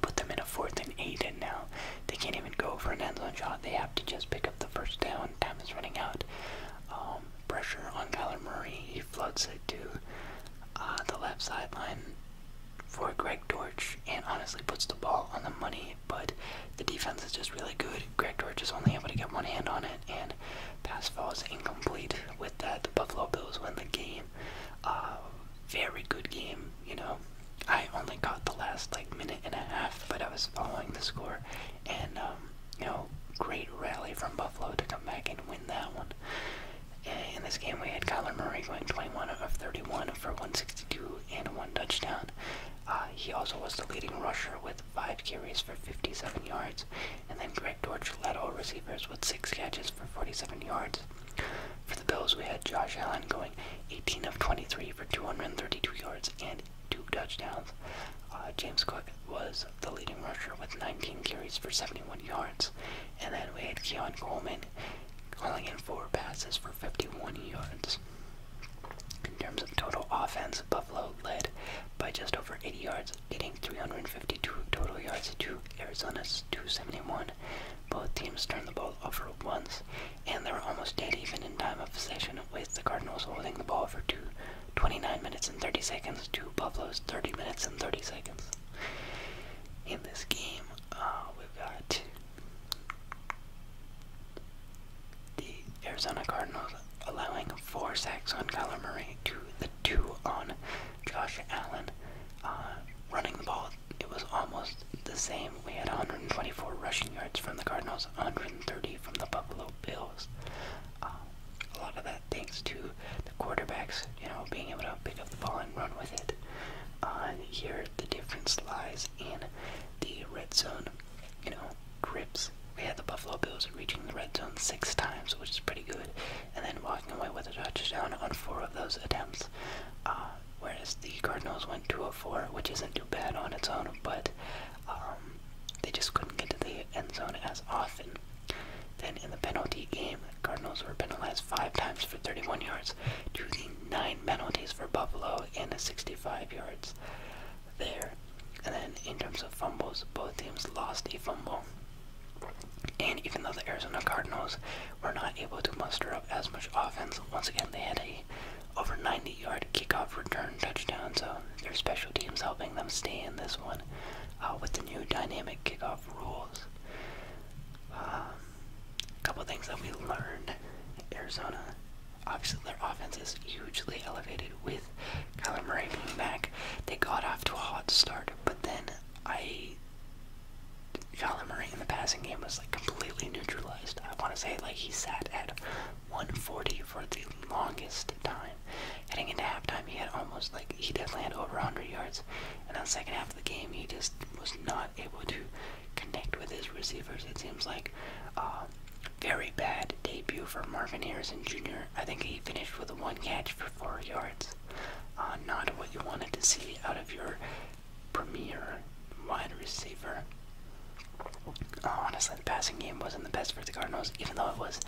Put them in a fourth and eight, and now they can't even go for an end zone shot. They have to just pick up the first down. Time is running out. Um, pressure on Kyler Murray. He floods it to uh, the left sideline for Greg Dortch, and honestly puts the ball on the money. But the defense is just really good. Greg George is only able to get one hand on it, and pass falls incomplete. With that, the Buffalo Bills win the game. Uh, very good game, you know. I only caught the last like minute and a half, but I was following the score, and um, you know, great rally from Buffalo to come back and win that one. in this game, we had Kyler Murray going 21 of 31 for 162 and one touchdown. Uh, he also was the leading rusher with 5 carries for 57 yards, and then Greg Dortch led all receivers with 6 catches for 47 yards. For the Bills, we had Josh Allen going 18 of 23 for 232 yards and 2 touchdowns. Uh, James Cook was the leading rusher with 19 carries for 71 yards, and then we had Keon Coleman hauling in 4 passes for 51 yards. In terms of total offense, Buffalo led by just over 80 yards, getting 352 total yards to Arizona's 271. Both teams turned the ball over once, and they were almost dead even in time of possession, with the Cardinals holding the ball for two, 29 minutes and 30 seconds to Buffalo's 30 minutes and 30 seconds. In this game, uh, we've got the Arizona Cardinals allowing four sacks on Kyler Murray to the two on Josh Allen. Uh, running the ball, it was almost the same. We had 124 rushing yards from the Cardinals, 130 from the Buffalo Bills. Uh, a lot of that thanks to the quarterbacks, you know, being able to pick up the ball and run with it. Uh, here, the difference lies in the red zone. You know, grips. We had the Buffalo Bills reaching the red zone six times, which is pretty good, and then walking away with a touchdown on four of those attempts. Uh, whereas the Cardinals went 2 of 4, which isn't too bad on its own, but um, they just couldn't get to the end zone as often. Then in the penalty game, the Cardinals were penalized five times for 31 yards to the nine penalties for Buffalo and 65 yards there. And then in terms of fumbles, both teams lost a fumble. And even though the Arizona Cardinals were not able to muster up as much offense, once again they had a over 90 yard kickoff return touchdown, so their special teams helping them stay in this one uh, with the new dynamic kickoff rules. a um, couple things that we learned Arizona, obviously, their offense is hugely elevated with with Kyler Murray being back. They got off to a hot start, but then I. Kyler Murray in the passing game was like completely neutralized. I want to say like he sat at 140 for the longest time. Heading into halftime, he had almost like he definitely had over 100 yards, and on second half of the game, he just was not able to connect with his receivers. It seems like uh, very bad debut for Marvin Harrison Jr. I think he finished with one catch for four yards. Uh, not what you wanted to see out of your premier wide receiver. Uh, honestly, the passing game wasn't the best for the Cardinals, even though it was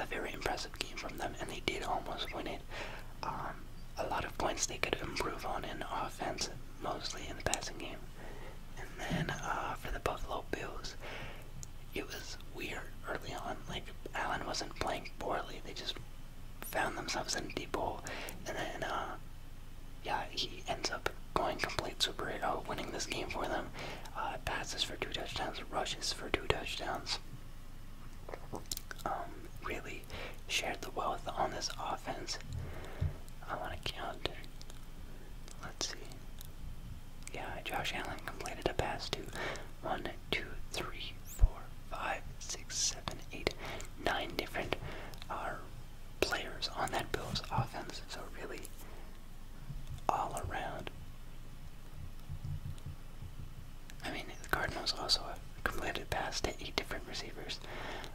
a very impressive game from them, and they did almost win it. Um, a lot of points they could improve on in offense, mostly in the passing game. And then uh, for the Buffalo Bills, it was weird early on. Like Allen wasn't playing poorly; they just found themselves in deep hole, and then uh, yeah, he ends up going complete superhero, winning this game for them. Uh, passes for two touchdowns, rushes for two touchdowns. Um, really shared the wealth on this offense. I want to count. Let's see. Yeah, Josh Allen completed a pass to one, two, three, four, five, six, seven, eight, nine different uh, players on that Bills offense. So really, all around. I mean, the Cardinals also completed a pass to eight different receivers.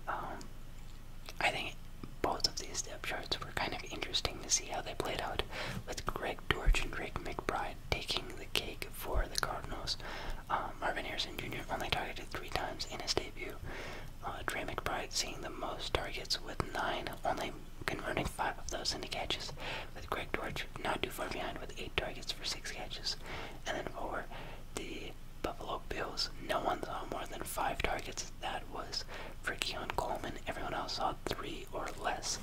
Um, I think both of these depth charts were kind of interesting to see how they played out with great like and Drake McBride taking the cake for the Cardinals. Um, Marvin Harrison Jr. only targeted three times in his debut. Uh, McBride seeing the most targets with nine, only converting five of those into catches. With Greg Dortch not too far behind with eight targets for six catches. And then for the Buffalo Bills, no one saw more than five targets. That was for Keon Coleman. Everyone else saw three three or less.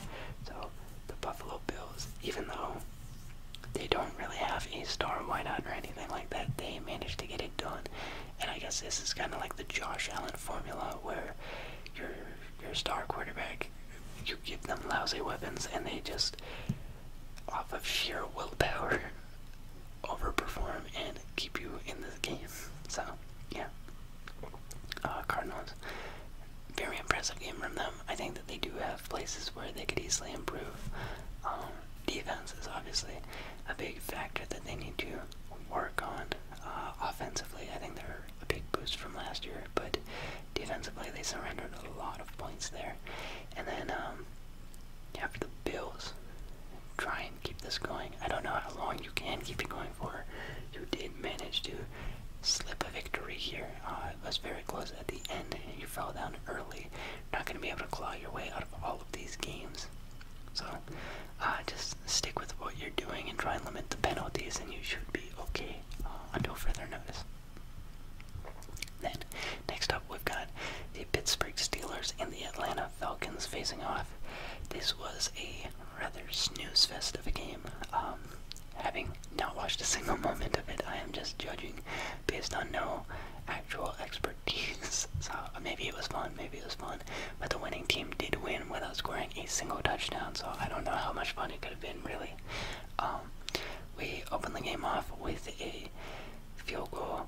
So the Buffalo Bills, even though they don't really have a star wideout or anything like that, they managed to get it done. And I guess this is kind of like the Josh Allen formula, where your your star quarterback, you give them lousy weapons, and they just off of sheer willpower overperform and keep you in this game. So yeah, uh, Cardinals. Very impressive game from them. I think that they do have places where they could easily improve. Um, defense is obviously a big factor that they need to work on. Uh, offensively, I think they're a big boost from last year, but defensively they surrendered a lot of points there. And then um, after the Bills, try and keep this going. I don't know how long you can keep it going for. You did manage to slip a victory here. Uh, it was very close at the end. You fell down early. You're not going to be able to claw your way out of all of these games. So uh, just stick with what you're doing and try and limit the penalties, and you should be okay uh, until further notice. next up, we've got the Pittsburgh Steelers and the Atlanta Falcons facing off. This was a rather snooze fest of a game. Um, having not watched a single moment of it, I am just judging based on no actual expertise. so maybe it was fun, maybe it was fun, but the winning team did win without scoring a single touchdown. So I don't know how much fun it could have been really. Um, we opened the game off with a field goal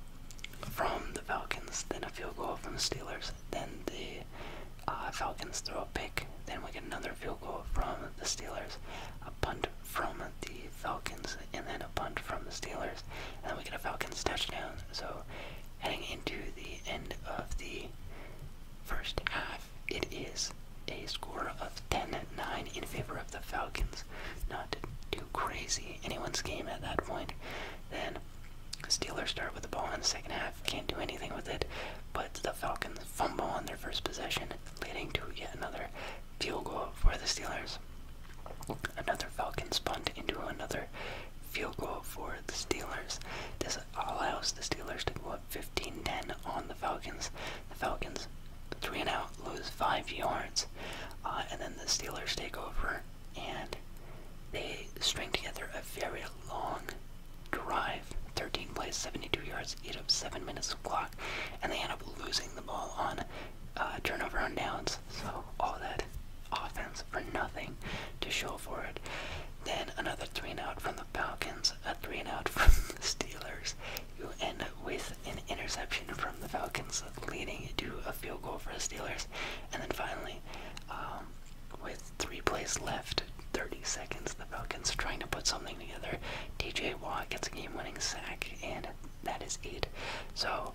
from the Falcons, then a field goal from the Steelers, then the uh, Falcons throw a pick. Then we get another field goal from the Steelers. A punt from the Falcons, and then a punt from the Steelers. And then we get a Falcons touchdown. So heading into the end of the first half, it is a score of 10-9 in favor of the Falcons. Not too crazy anyone's game at that point. Then the Steelers start with the ball in the second half can't do anything with it. But the Falcons fumble on their first possession, leading to yet another field goal for the Steelers. Another Falcons punt into another field goal for the Steelers. This allows the Steelers to go up 15-10 on the Falcons. The Falcons, three and out, lose five yards, uh, and then the Steelers take over and they string together a very long drive, 13 plays, 72 yards, ate of seven minutes of clock, and they end up losing the ball on uh, turnover on downs. So all that offense for nothing to show for it. Then another three and out from the Falcons, a three and out from the Steelers. You end up with an interception from the Falcons leading to a field goal for the Steelers. And then finally, um, with Three plays left, 30 seconds. The Falcons trying to put something together. DJ Watt gets a game winning sack, and that is it. So,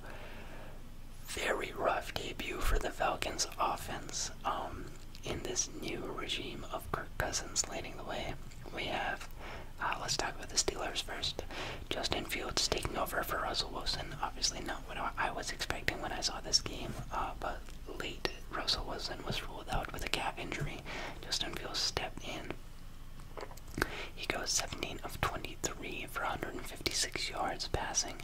very rough debut for the Falcons offense um, in this new regime of Kirk Cousins leading the way. We have, uh, let's talk about the Steelers first. Justin Fields taking over for Russell Wilson. Obviously, not what I was expecting when I saw this game, uh, but late Russell Wilson was ruled out with a calf injury. Justin Fields stepped in. He goes 17 of 23 for 156 yards passing.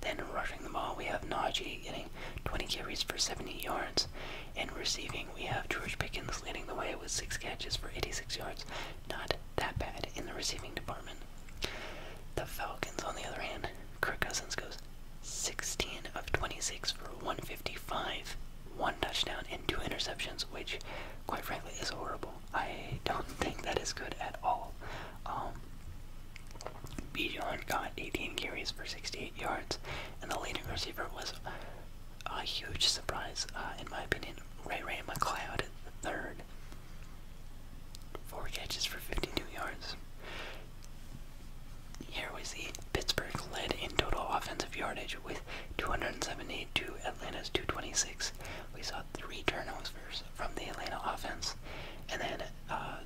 Then rushing the ball, we have Najee getting 20 carries for 70 yards. In receiving, we have George Pickens leading the way with 6 catches for 86 yards. Not that bad in the receiving department. The Falcons, on the other hand, Kirk Cousins goes 16 of 26 for 155, one touchdown, and two interceptions, which, quite frankly, is horrible. I don't think that is good at all. Um, Bijan got 18 carries for 68 yards, and the leading receiver was a huge surprise, uh, in my opinion. Ray Ray McLeod, the third, four catches for 52 yards. Here we see Pittsburgh led in total offensive yardage with 278 to Atlanta's 226. We saw three turnovers from the Atlanta offense, and then uh,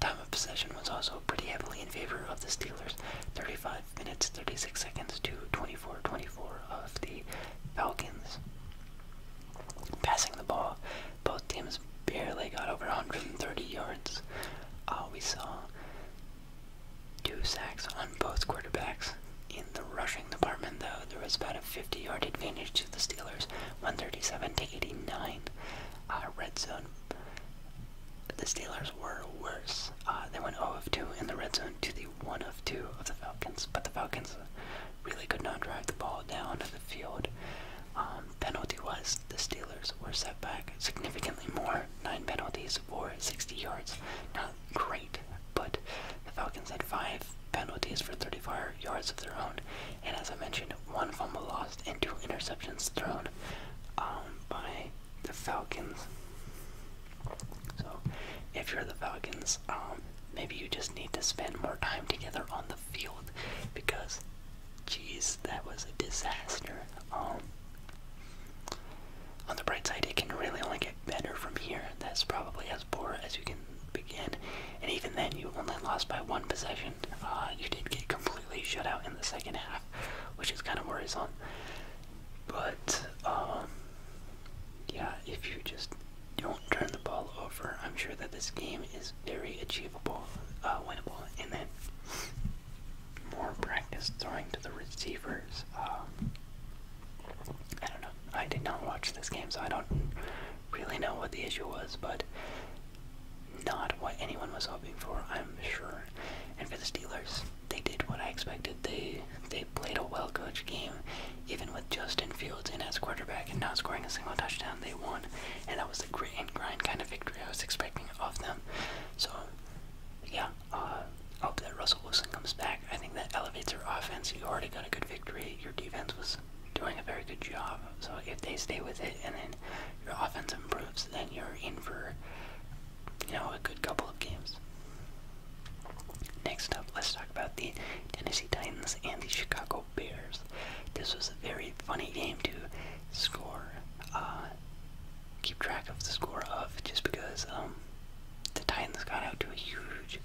time of possession was also pretty heavily in favor of the Steelers, 35 minutes 36 seconds to 24-24 of the Falcons. Passing the ball, both teams barely got over 130 yards. Uh, we saw Two sacks on both quarterbacks. In the rushing department, though, there was about a 50 yard advantage to the Steelers, 137 to 89. Uh, red zone, the Steelers were worse. Uh, they went 0 of 2 in the red zone to the 1 of 2 of the Falcons, but the Falcons really could not drive the ball down to the field. Um, penalty was the Steelers were set back significantly more. Nine penalties for 60 yards. Not great, but the Falcons had five penalties for 35 yards of their own. And as I mentioned, one fumble lost and two interceptions thrown um, by the Falcons. So, if you're the Falcons, um, maybe you just need to spend more time together on the field because Jeez, that was a disaster. Um, on the bright side, it can really only get better from here. That's probably as poor as you can begin. And even then, you only lost by one possession. Uh, you did get completely shut out in the second half, which is kind of worrisome. But, um, yeah, if you just don't turn the ball over, I'm sure that this game is very achievable, uh, winnable. And then more practice throwing to the receivers. Um, I don't know. I did not watch this game, so I don't really know what the issue was, but not what anyone was hoping for, I'm sure. And for the Steelers, they did what I expected. They they played a well-coached game, even with Justin Fields in as quarterback and not scoring a single touchdown. They won, and that was the grit and grind kind of victory I was expecting of them. So yeah, I uh, hope that Russell Wilson comes back. I think that elevates your offense. You already got a good victory. Your defense was doing a very good job. So if they stay with it and then your offense improves, then you're in for, you know, a good couple of games. Next up, let's talk about the Tennessee Titans and the Chicago Bears. This was a very funny game to score. Uh, keep track of the score of just because um, the Titans got out to a huge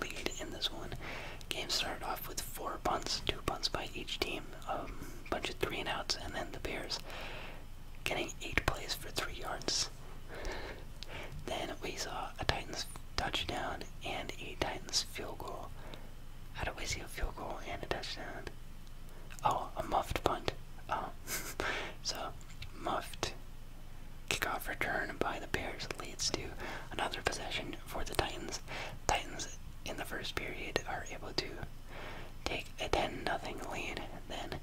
lead in this one. Game started off with four punts, two punts by each team, a um, bunch of three and outs, and then the Bears getting eight plays for three yards. then we saw a Titans touchdown and a Titans field goal. How do we see a field goal and a touchdown? Oh, a muffed punt. Oh. so muffed kickoff return by the Bears leads to another possession for the Titans. Titans in the first period are able to take a 10 nothing lead. Then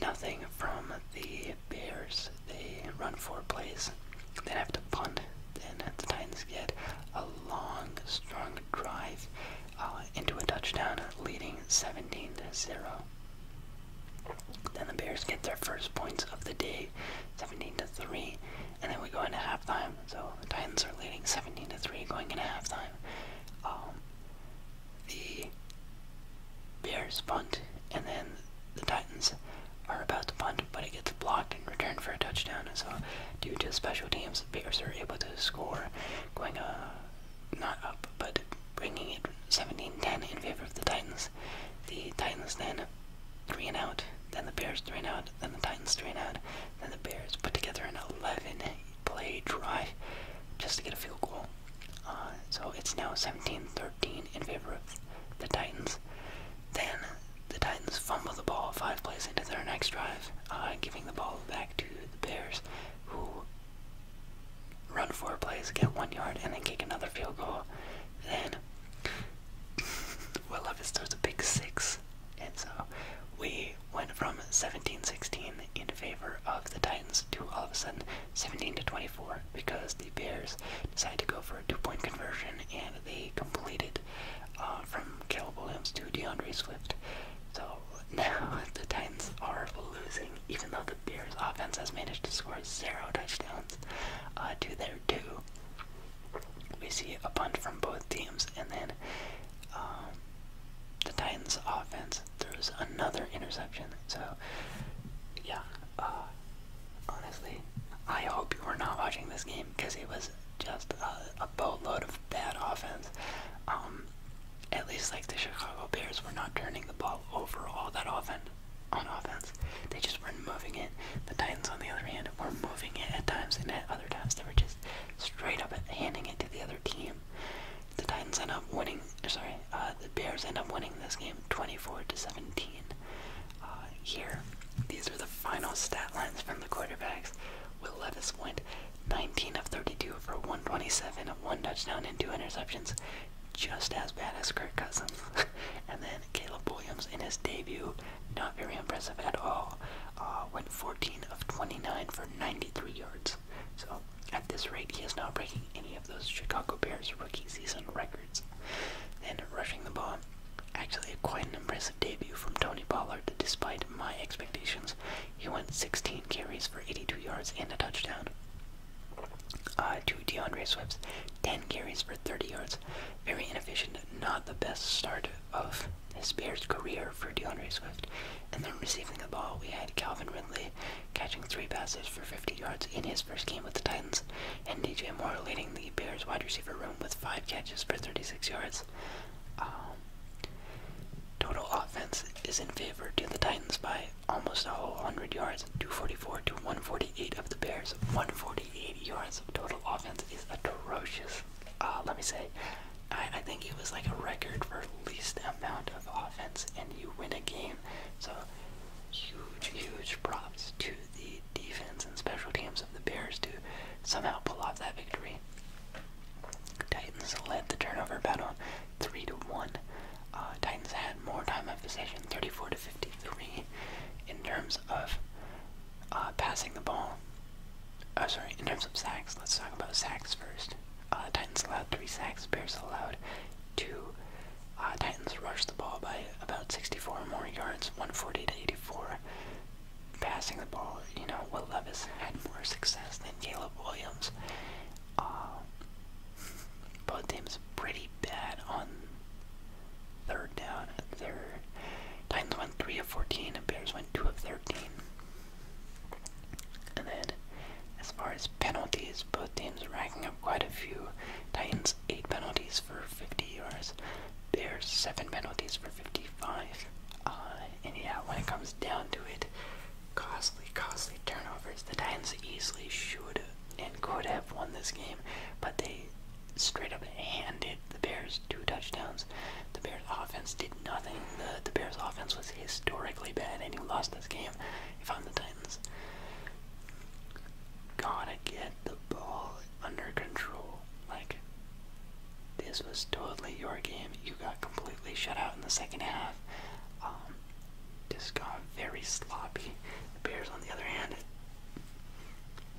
nothing from the Bears. They run four plays. They have to punt. Then the Titans get a long, strong drive uh, into a touchdown, leading 17 to 0. Then the Bears get their first points of the day, 17 to 3, and then we go into halftime. So the Titans are leading 17 to 3 going into halftime. Um, the Bears punt, and then the Titans are about to punt, but it gets blocked and returned for a touchdown. So due to special teams, Bears are able to score, going uh, not up, but bringing it 17-10 in favor of the Titans. The Titans then three and out, then the Bears three and out, then the Titans three and out, then the Bears put together an 11-play drive just to get a field goal. Uh, so it's now 17-13 in favor of the Titans. Then the Titans fumble the ball five plays into their next drive, uh, giving the ball back to the Bears who run four plays, get one yard, and then kick another field goal. Then Will Levis throws a big six, and so we went from 17-16 in favor of the Titans to all of a sudden 17 24 because the Bears decided to go for a two-point conversion and they completed uh, from Caleb Williams to DeAndre Swift. So now the Titans are losing, even though the Bears offense has managed to score zero touchdowns uh, to their two. We see a punt from both teams, and then um, the Titans offense throws another interception. So, yeah, uh, honestly, I hope you were not watching this game because it was just a, boatload of bad offense. Um, at least like the Chicago Bears were not turning the ball over all that often on offense. They just weren't moving it. The Titans, on the other hand, were moving it at times, and at other times they were just straight up handing it to the other team. The Titans end up winning. Sorry, uh, the Bears end up winning this game, 24 to 17. Uh, here, these are the final stat lines from the quarterbacks. Will Levis went 19 of 32 for 127, one touchdown and two interceptions. Just as bad as Kirk Cousins. and then Caleb Williams in his debut, not very impressive at all. Uh, went 14 of 29 for 93 yards. So at this rate, he is not breaking any of those Chicago Bears rookie season records. And rushing the ball, actually quite an impressive debut from Tony Pollard, despite my expectations he went 16 carries for 82 yards and a touchdown. Uh, to DeAndre Swift's 10 carries for 30 yards. Very inefficient, not the best start of his Bears career for DeAndre Swift. And then receiving the ball, we had Calvin Ridley catching three passes for 50 yards in his first game with the Titans, and DJ Moore leading the Bears wide receiver room with five catches for 36 yards. Um, Total offense is in favor to the Titans by almost a whole 100 yards, 244 to 148 of the Bears. 148 yards of total offense is atrocious. Uh, let me say, I think it was like a record for least amount of offense, and you win a game. So huge, huge props to the defense and special teams of the Bears to somehow pull off that victory. Titans led the turnover battle 3 to 1. Uh, Titans had more time of possession, 34 to 53, in terms of uh, passing the ball. Uh, sorry, in terms of sacks, let's talk about sacks first. Titans allowed 3 sacks, Bears allowed 2. Titans rushed the ball by about 64 more yards, 140 to 84. Passing the ball, you know, Will Levis had more success than Caleb Williams. Um, both teams pretty bad on third down. Their Titans went three of fourteen, and Bears went two of thirteen. And then, as far as penalties, both teams are racking up quite a few. Titans eight penalties for fifty yards. Bears seven penalties for fifty-five. Uh, and yeah, when it comes down to it, costly, costly turnovers. The Titans easily should and could have won this game, but they straight up handed the Bears two touchdowns. The Bears offense did nothing. The the Bears offense was historically bad and you lost this game if I'm the Titans. Gotta get the ball under control. Like this was totally your game. You got completely completely shut out in the second half. Um, just got very sloppy. The Bears, on the other hand,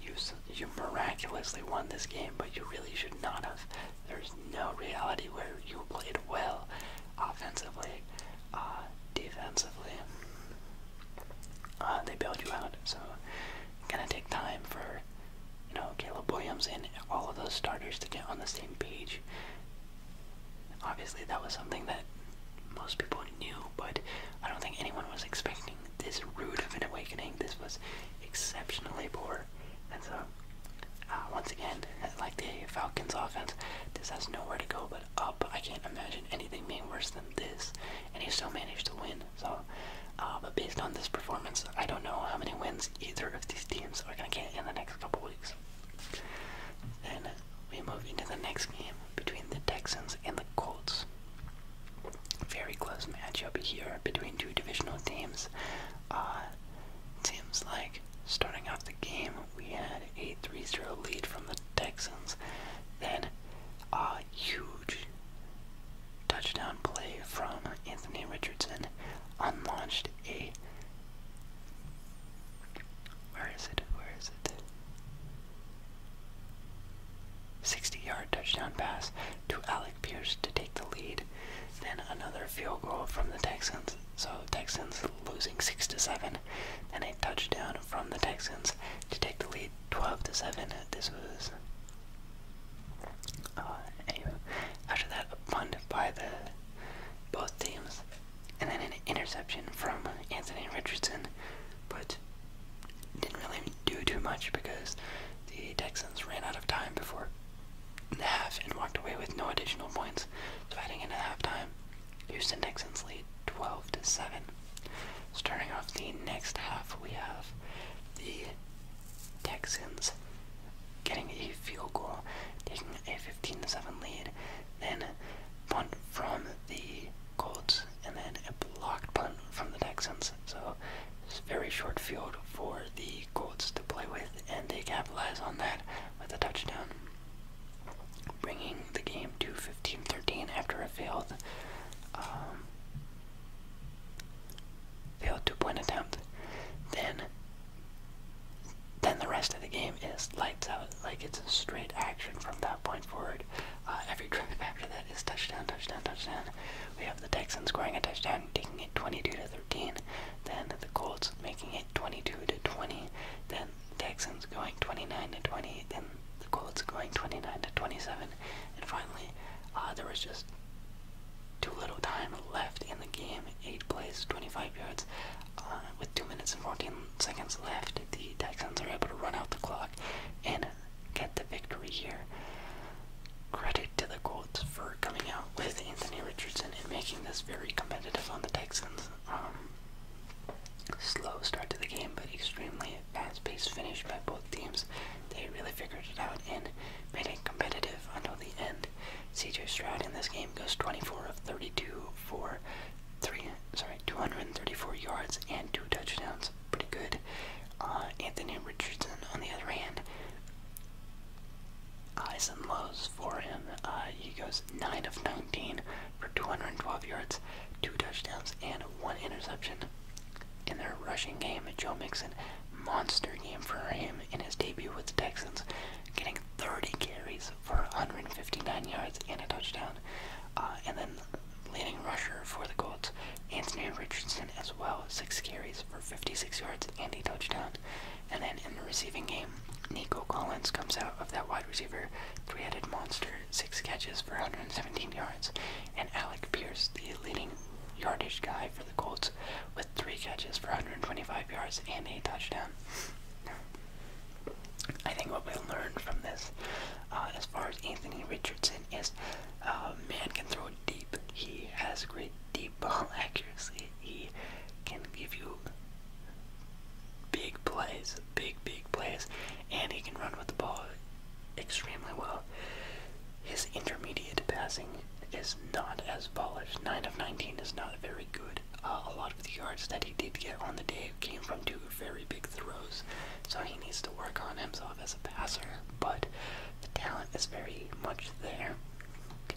you you miraculously won this game, but you really should not have. There's no reality where you played well offensively, uh, defensively. Uh, they bailed you out, so gonna take time for you know Caleb Williams and all of those starters to get on the same page Obviously, that was something that most people knew, but I don't think anyone was expecting this rude of an awakening. This was exceptionally poor. And so, uh, once again, like the Falcons offense, this has nowhere to go but up. I can't imagine anything being worse than this, and he still managed to win. So, uh, but based on this performance, I don't know how many wins either of these teams are going to get in the next couple weeks. Then we move into the next game between the Texans and the Colts. Very close match matchup here between two divisional teams. Uh, seems like starting off the game, we had a 3-0 lead from the Texans. Then a huge touchdown play from Anthony Richardson unlaunched a where is it? Where is it? 60 yard touchdown pass to Alec Pierce to take the lead. Then another field goal from the Texans. So Texans losing 6 to 7. Then a touchdown from the Texans to take the lead 12 to 7. This was uh, anyway. after that a punt by the both teams and then an interception from Anthony Richardson, but didn't really do too much because the Texans ran out of time before the half and walked away with no additional points. So heading into halftime, Houston Texans lead 12 to 7. Starting off the next half, we have the Texans getting a field goal, taking a 15-7 lead, then punt from the Colts, and then a blocked punt from the Texans. So it's very short field for the Colts to play with, and they capitalize on that with a touchdown, bringing the game to 15-13 after a failed, um, failed two-point attempt. Then then the rest of the game is lights out. Like it's straight action from that point forward. Uh, every drive after that is touchdown, touchdown, touchdown. We have the Texans scoring a touchdown, taking it 22 to 13. Then the Colts making it 22 to 20. Then Texans going 29 to 20. Then the Colts going 29 to 27. And finally, uh, there was just too little time left in the game. Eight plays, 25 yards. Uh, with 2 minutes and 14 seconds left, the Texans are able to run out the clock and get the victory here. Credit to the Colts for coming out with Anthony Richardson and making this very competitive on the Texans. Um, slow start to the game, but extremely fast-paced finish by both teams. They really figured it out and made it competitive until the end. CJ Stroud in this game goes 24 of 32 for three, sorry, 234 yards and two touchdowns. Pretty good. Uh, Anthony Richardson, on the other hand, highs and lows for him. Uh, he goes 9 of 19 for 212 yards, two touchdowns, and one interception. In their rushing game, Joe Mixon, monster game for him in his debut with the Texans, getting 30 carries, for 159 yards and a touchdown. Uh, and then leading rusher for the Colts, Anthony Richardson as well, six carries for 56 yards and a touchdown. And then in the receiving game, Nico Collins comes out of that wide receiver three-headed monster, six catches for 117 yards. And Alec Pierce, the leading yardage guy for the Colts, with three catches for 125 yards and a touchdown. I think what we learned from this, uh, as far as Anthony Richardson, is uh, man can throw deep. He has great deep ball accuracy. He can give you big plays, big big plays, and he can run with the ball extremely well. His intermediate passing is not as polished. Nine of nineteen is not very good. Uh, a lot of the yards that he did get on the day came from two very big throws, so he needs to work on himself as a passer. But the talent is very much there.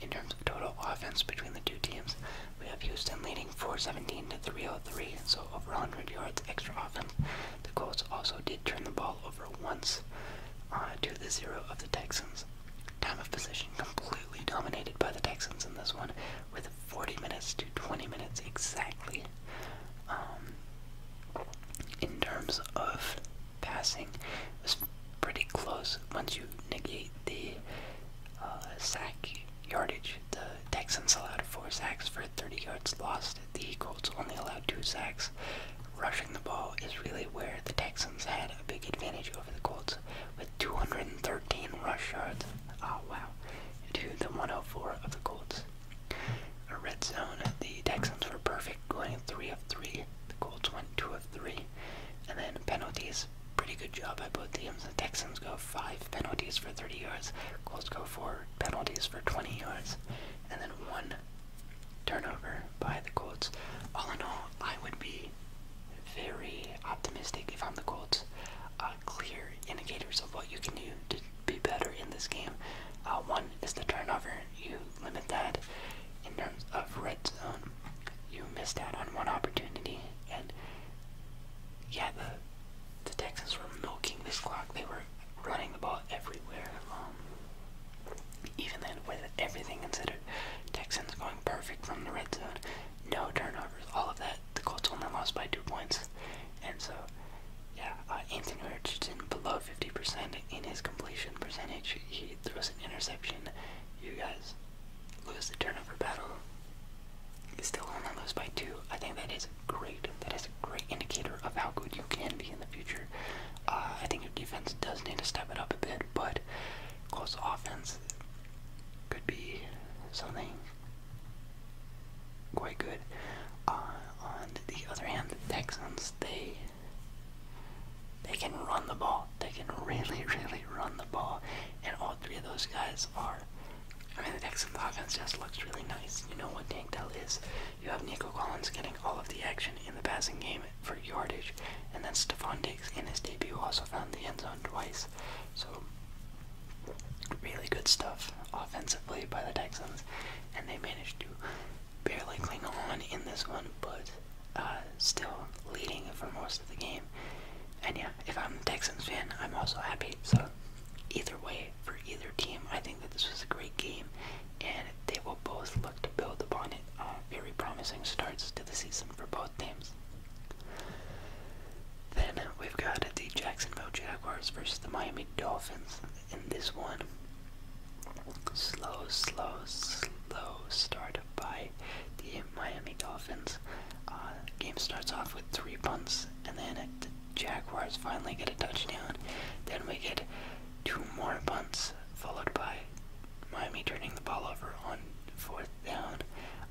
In terms of total offense between the two teams, we have Houston leading 417 to 303, so over 100 yards extra offense. The Colts also did turn the ball over once uh, to the zero of the Texans. Time of possession completely dominated by the Texans in this one, with 40 minutes to 20 minutes exactly. Um, in terms of passing, it was pretty close once you negate the uh, sack yardage. The Texans allowed four sacks for 30 yards lost. The Colts only allowed two sacks. Rushing the ball is really where the Texans had a big advantage over the Colts with 213 rush yards Oh, wow. To the 104 of the Colts. A red zone, the Texans were perfect, going 3 of 3. The Colts went 2 of 3. And then penalties, pretty good job by both teams. The Texans go 5 penalties for 30 yards. Colts go 4 penalties for 20 yards. And then 1 turnover by the Colts. All in all, I would be very optimistic, if I'm the Colts, uh, clear indicators of what you can do to be better in this game. Uh, one is the turnover. You limit that in terms of red zone. You missed out on one opportunity, and yeah, the, the Texans were milking this clock. They were running the ball everywhere. Um, even then, with everything considered, Texans going perfect from the red zone, no turnovers, all of that the Colts only lost by two points. And so, yeah, uh, Anthony Richardson below 50% in his completion percentage. He throws an interception. You guys lose the turnover battle. He still only lose by two. I think that is great. That is a great indicator of how good you can be in the future. Uh, I think your defense does need to step it up a bit, but Close offense could be something quite good. Uh, on the other hand, the Texans they they can run the ball. They can really, really run the ball, and all three of those guys are. I mean, the Texans offense just looks really nice. You know what Tank Dell is. You have Nico Collins getting all of the action in the passing game for yardage, and then Stephon Diggs in his debut also found the end zone twice. So Really good stuff offensively by the Texans, and they managed to barely cling on in this one, but uh, still leading for most of the game. And yeah, if I'm a Texans fan, I'm also happy. So, either way, for either team, I think that this was a great game, and they will both look to build upon it. Uh, very promising starts to the season for both. Then we've got the Jacksonville Jaguars versus the Miami Dolphins in this one. Slow, slow, slow start by the Miami Dolphins. Uh, game starts off with three punts, and then the Jaguars finally get a touchdown. Then we get two more punts, followed by Miami turning the ball over on fourth down,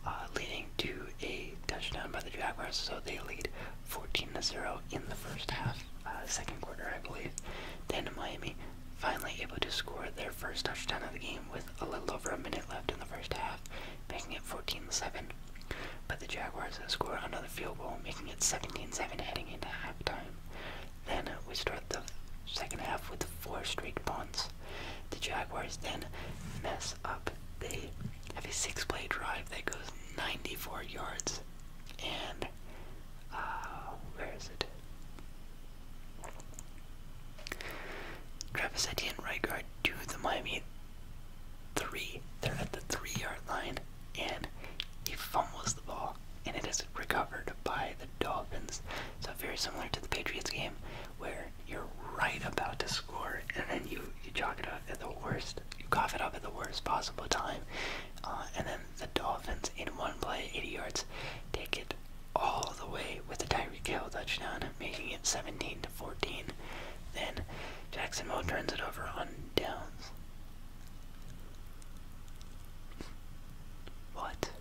uh, leading to a touchdown by the Jaguars. So they lead 14 to 0 in the first half, uh, second quarter, I believe. Then Miami finally able to score their first touchdown of the game with a little over a minute left in the first half, making it 14 7. But the Jaguars score another field goal, making it 17 7 heading into halftime. Then we start the second half with four straight punts. The Jaguars then mess up. They have a six play drive that goes 94 yards. And, uh, where is it? Travis Etienne, right guard to the Miami three. They're at the three yard line, and he fumbles the ball, and it is recovered by the Dolphins. So, very similar to the Patriots game, where you're right about to score, and then you you chalk it up at the worst, you cough it up at the worst possible time, uh, and then the Dolphins in one play, 80 yards, take it all the way with a Tyreek Hill touchdown, making it 17 to 14. Then Jacksonville turns it over on downs. What?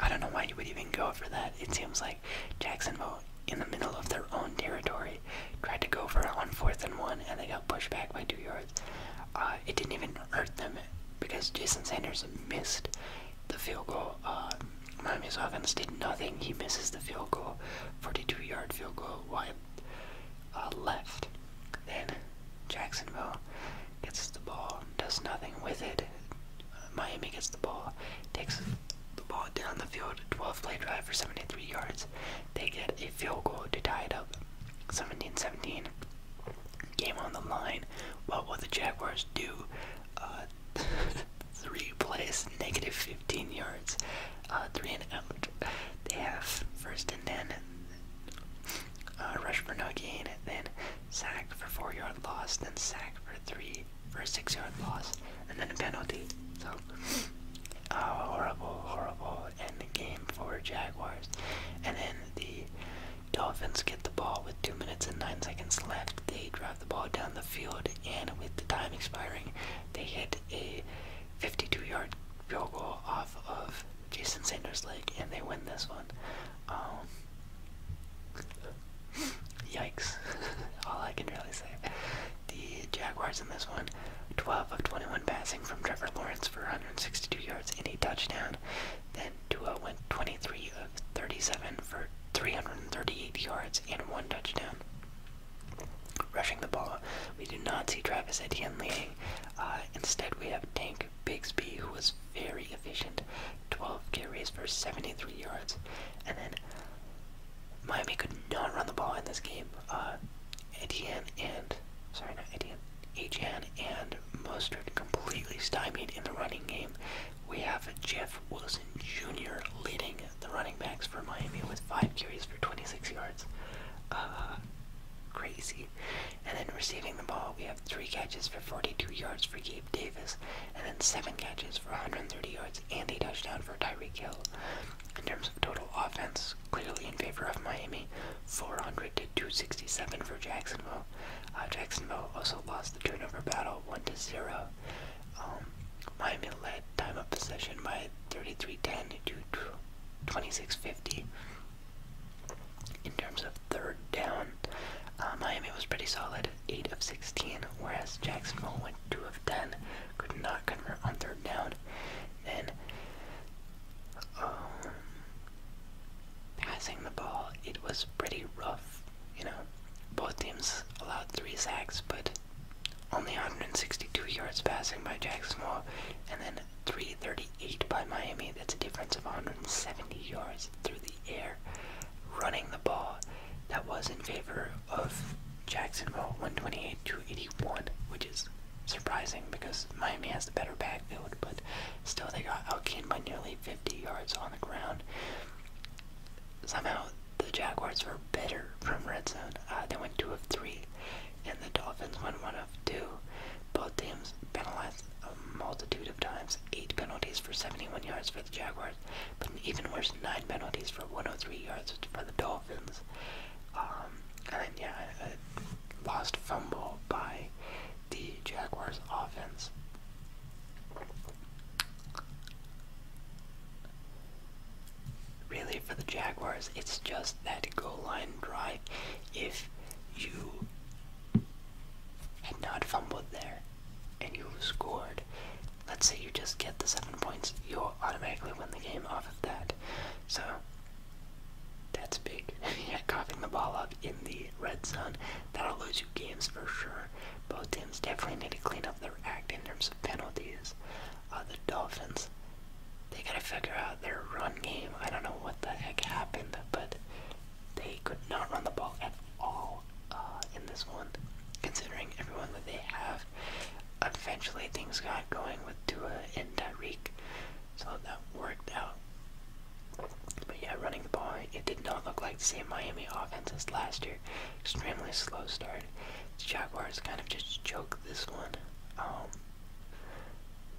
I don't know why you would even go for that. It seems like Jacksonville, in the middle of their own territory, tried to go for it on fourth and one, and they got pushed back by two yards. Uh, it didn't even hurt them because Jason Sanders missed the field goal. Uh, Miami's offense did nothing. He misses the field goal, 42-yard field goal wide uh, left. Then Jacksonville gets the ball, does nothing with it. Miami gets the ball, takes the ball down the field, 12 play drive for 73 yards. They get a field goal to tie it up, 17 17. Game on the line. What will the Jaguars do? Uh, three plays, negative 15 yards, uh, three and out. They have first and 10 uh, rush for no gain, then sacked for four yard loss, then sacked for three for a six yard loss, and then a penalty. So uh, horrible, horrible end game for Jaguars. And then the Dolphins get the ball with two minutes and nine seconds left. They drive the ball down the field, and with the time expiring, they hit a 52 yard field goal off of Jason Sanders League, and they win this one. Um, yikes. All I can really say. The Jaguars in this one, 12 of 21 passing from Trevor Lawrence for 162 yards and a touchdown. Then Tua went 23 of 37 for 338 yards and one touchdown. Rushing the ball, we do not see Travis Etienne leading uh, instead, we have Tank Bigsby, who was very efficient 12 carries for 73 yards. And then Miami could not run the ball in this game. Uh, and, sorry, not Etienne, Etienne and Mostert completely stymied in the running game. We have Jeff Wilson Jr. leading the running backs for Miami with 5 carries for 26 yards. Uh, crazy. And then receiving the ball, we have three catches for 42 yards for Gabe Davis, and then seven catches for 130 yards and a touchdown for Tyreek Hill. In terms of total offense, clearly in favor of Miami, 400 to 267 for Jacksonville. Uh, Jacksonville also lost the turnover battle 1 to 0. Um, Miami led time of possession by 33:10 to 26:50. In terms of third down, uh, Miami was pretty solid, 8 of 16, whereas Jacksonville went 2 of 10, could not convert on third down. Then, um, passing the ball, it was pretty rough. You know, both teams allowed 3 sacks, but only 162 yards passing by Jacksonville, and then 338 by Miami. That's a difference of 170 yards through the air. Running the ball, that was in favor of Jacksonville, 128 to 81, which is surprising because Miami has the better backfield, but still they got outgained by nearly 50 yards on the ground. Somehow the Jaguars were better from red zone. Uh, they went two of three, and the Dolphins went one of two. Both teams penalized a multitude of times, eight penalties for 71 yards for the Jaguars, but even worse, nine penalties for 103 yards for the Dolphins. Um, and then, yeah, lost fumble by the Jaguars offense. Really, for the Jaguars, it's just that goal line drive. If you had not fumbled there and you scored. Let's say you just get the seven points, you'll automatically win the game off of that. So that's big. yeah, coughing the ball up in the red zone, that'll lose you games for sure. Both teams definitely need to clean up their act in terms of penalties. Uh, the Dolphins they gotta figure out their run game. I don't know what the heck happened, but they could not run the ball at all uh, in this one. Considering everyone that they have, eventually things got going with Tua and Tyreek, so that worked out. But yeah, running the ball, it did not look like the same Miami offense as last year. Extremely slow start. The Jaguars kind of just choked this one. Um,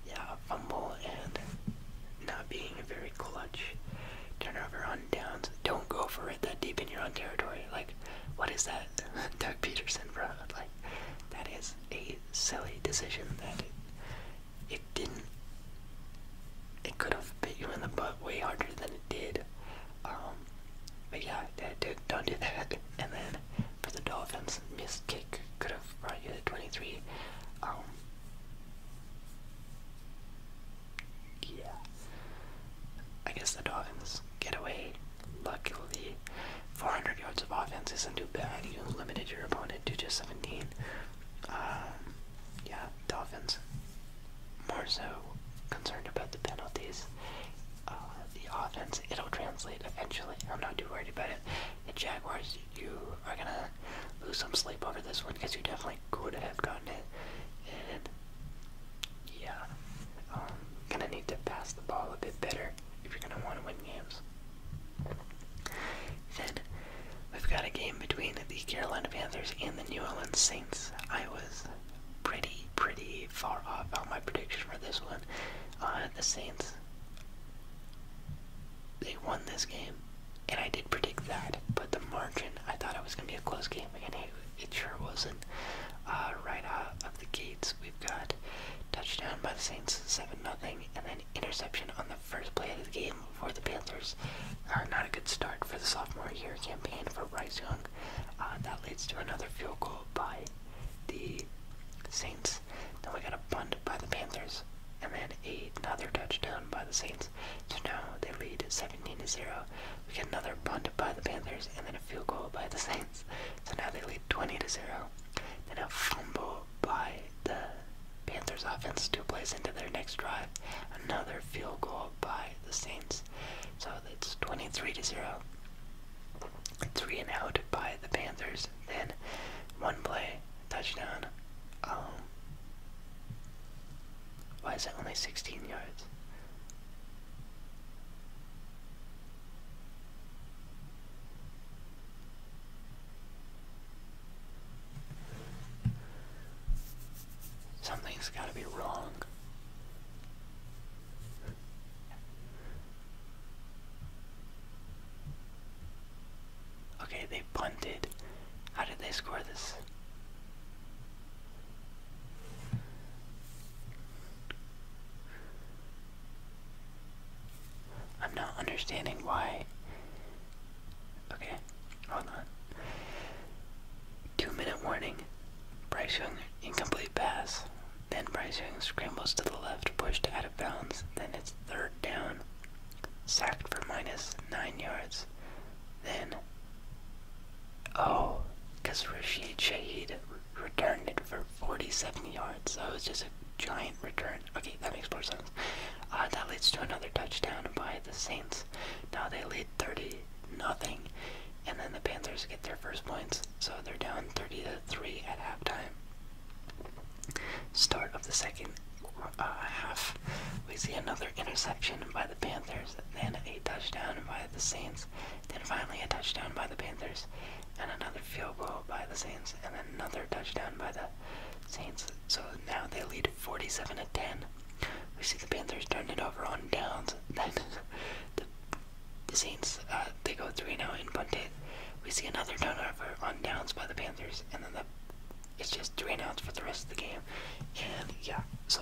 yeah, fumble and not being very clutch. Turnover on downs. Don't go for it that deep in your own territory. Like, what is that? Doug Peterson, bro. Like, that is a silly decision that it, didn't. It could have bit you in the butt way harder than it did. Um, but yeah, that, don't do that. And then for the Dolphins, missed kick have brought 23. Um, yeah. I guess the Dolphins get away. Luckily, 400 yards of offense isn't too bad. You limited your opponent to just 17. Um, yeah, Dolphins more so concerned about the penalties. Uh, the offense, it'll translate eventually. I'm not too worried about it the Jaguars, you are gonna lose some sleep over this one because you definitely could have gotten it. yeah, um, gonna need to pass the ball a bit better if you're gonna want to win games. Then we've got a game between the Carolina Panthers and the New Orleans Saints. I was pretty, pretty far off on my prediction for this one. Uh, the Saints they won this game, and I did predict that. But the margin, I thought it was going to be a close game, and it, sure wasn't. Uh, right out of the gates, we've got touchdown by the Saints, seven nothing, and then interception on the first play of the game for the Panthers. Uh, not a good start for the sophomore year campaign for Bryce Young. Uh, that leads to another field goal by the Saints. Then we got a punt by the Panthers. And then another touchdown by the Saints. So now they lead 17 to 0. We get another punt by the Panthers and then a field goal by the Saints. So now they lead 20 to 0. Then a fumble by the Panthers offense two plays into their next drive. Another field goal by the Saints. So it's 23 to 0. Three and out by the Panthers. Then one play Touchdown. Um, why is it only 16 yards? Something's gotta be wrong. Okay, they punted. How did they score this? I'm not understanding why. Okay, hold on. Two minute warning. Bryce Young incomplete pass. Then Bryce Young scrambles to the left, pushed out of bounds. Then it's third down sacked for minus nine yards. Then, oh, because Rashid Shaheed returned it for 47 yards. So it was just a giant return. Okay, that makes more sense. Uh, that leads to another touchdown by the Saints. Now they lead 30 nothing, and then the Panthers get their first points. So they're down 30 to 3 at halftime. Start of the second uh, half, we see another interception by the Panthers, then a touchdown by the Saints, then finally a touchdown by the Panthers, and another field goal by the Saints, and another touchdown by the Saints. So now they lead 47 to 10. We see the Panthers turn it over on downs. Then the, Saints, uh, they go 3 now in punt We see another turnover on downs by the Panthers, and then the it's just three and for the rest of the game. And yeah, so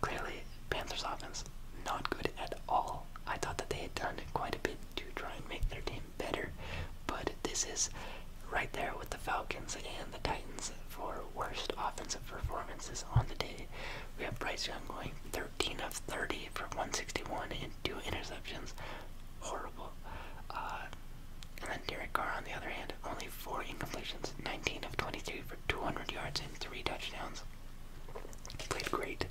clearly Panthers offense not good at all. I thought that they had done quite a bit to try and make their team better, but this is right there with the Falcons and the Titans for worst offensive performances on the day. We have Bryce Young going 13 of 30 for 161 and two interceptions. Horrible. Uh, and then Derek Carr, on the other hand, only four incompletions, 19 of 23 for 200 yards and three touchdowns. played great.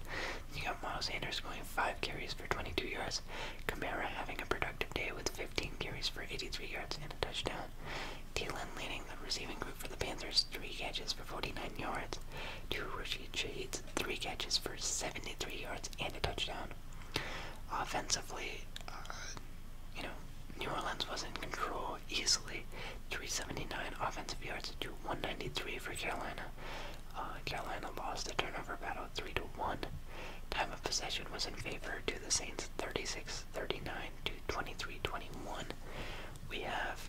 You got Miles Sanders going five carries for 22 yards, Kamara having a productive day with 15 carries for 83 yards and a touchdown, Thielen leading the receiving group for the Panthers, three catches for 49 yards, two Rashid Shahid's, three catches for 73 yards and a touchdown, Offensively, uh, you know, New Orleans was in control easily. 379 offensive yards to 193 for Carolina. Uh, Carolina lost the turnover battle 3 to 1. Time of possession was in favor to the Saints 36 39 to 23 21. We have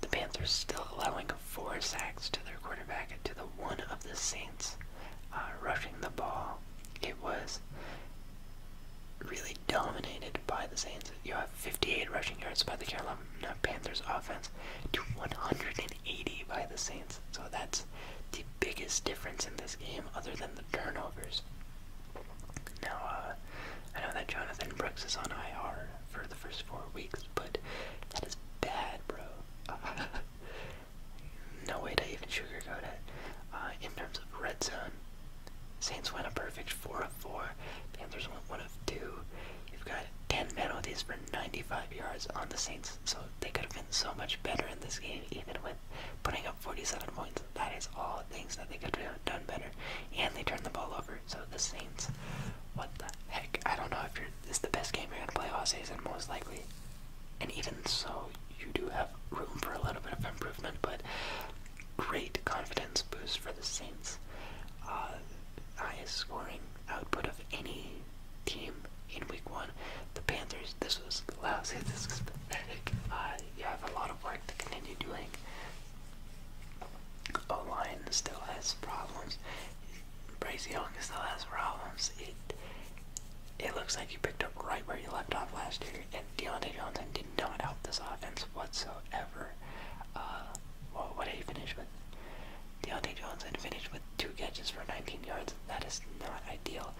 the Panthers still allowing four sacks to their quarterback to the one of the Saints. Uh, rushing the ball. It was really dominated by the Saints. You have 58 rushing yards by the Carolina Panthers offense to 180 by the Saints. So that's the biggest difference in this game other than the turnovers. Now, uh, I know that Jonathan Brooks is on IR for the first four weeks, but that is bad, bro. no way to even sugarcoat it. Uh, in terms of red zone, Saints went a perfect 4 of 4. Panthers went 1 of 2. You've got 10 penalties for 95 yards on the Saints, so they could have been so much better in this game, even with putting up 47 points. That is all things that they could have done better. And they turned the ball over, so the Saints, what the heck? I don't know if you're, this is the best game you're going to play all season, most likely. And even so, you do have room for a little bit of improvement, but great confidence boost for the Saints. Uh, highest scoring output of any team in week one. The Panthers, this was lousy, this was pathetic. Uh, you have a lot of work to continue doing. O line still has problems. Bryce Young still has problems it looks like you picked up right where you left off last year, and Deontay Johnson did not help this offense whatsoever. Uh, what did he finish with? Deontay Johnson finished with two catches for 19 yards. That is not ideal.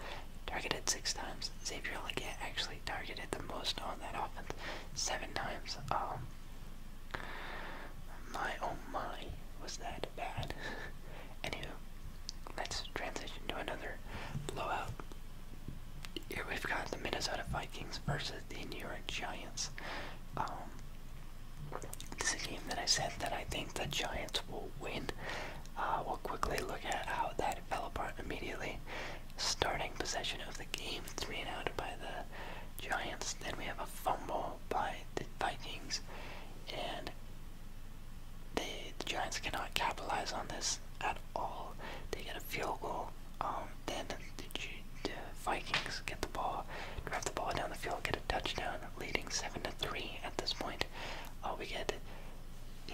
Targeted six times. Xavier Leggett actually targeted the most on that offense, seven times. Um, my oh my, was that bad, Anywho, let's transition to another blowout. Here we've got the Minnesota Vikings versus the New York Giants. Um, this is a game that I said that I think the Giants will win. Uh, we'll quickly look at how that fell apart immediately. Starting possession of the game, three and out by the Giants. Then we have a fumble by the Vikings, and the Giants cannot capitalize on this at all. They get a field goal. Um, then the, Vikings get the ball, drive the ball down the field, get a touchdown, leading seven to three at this point. Uh, we get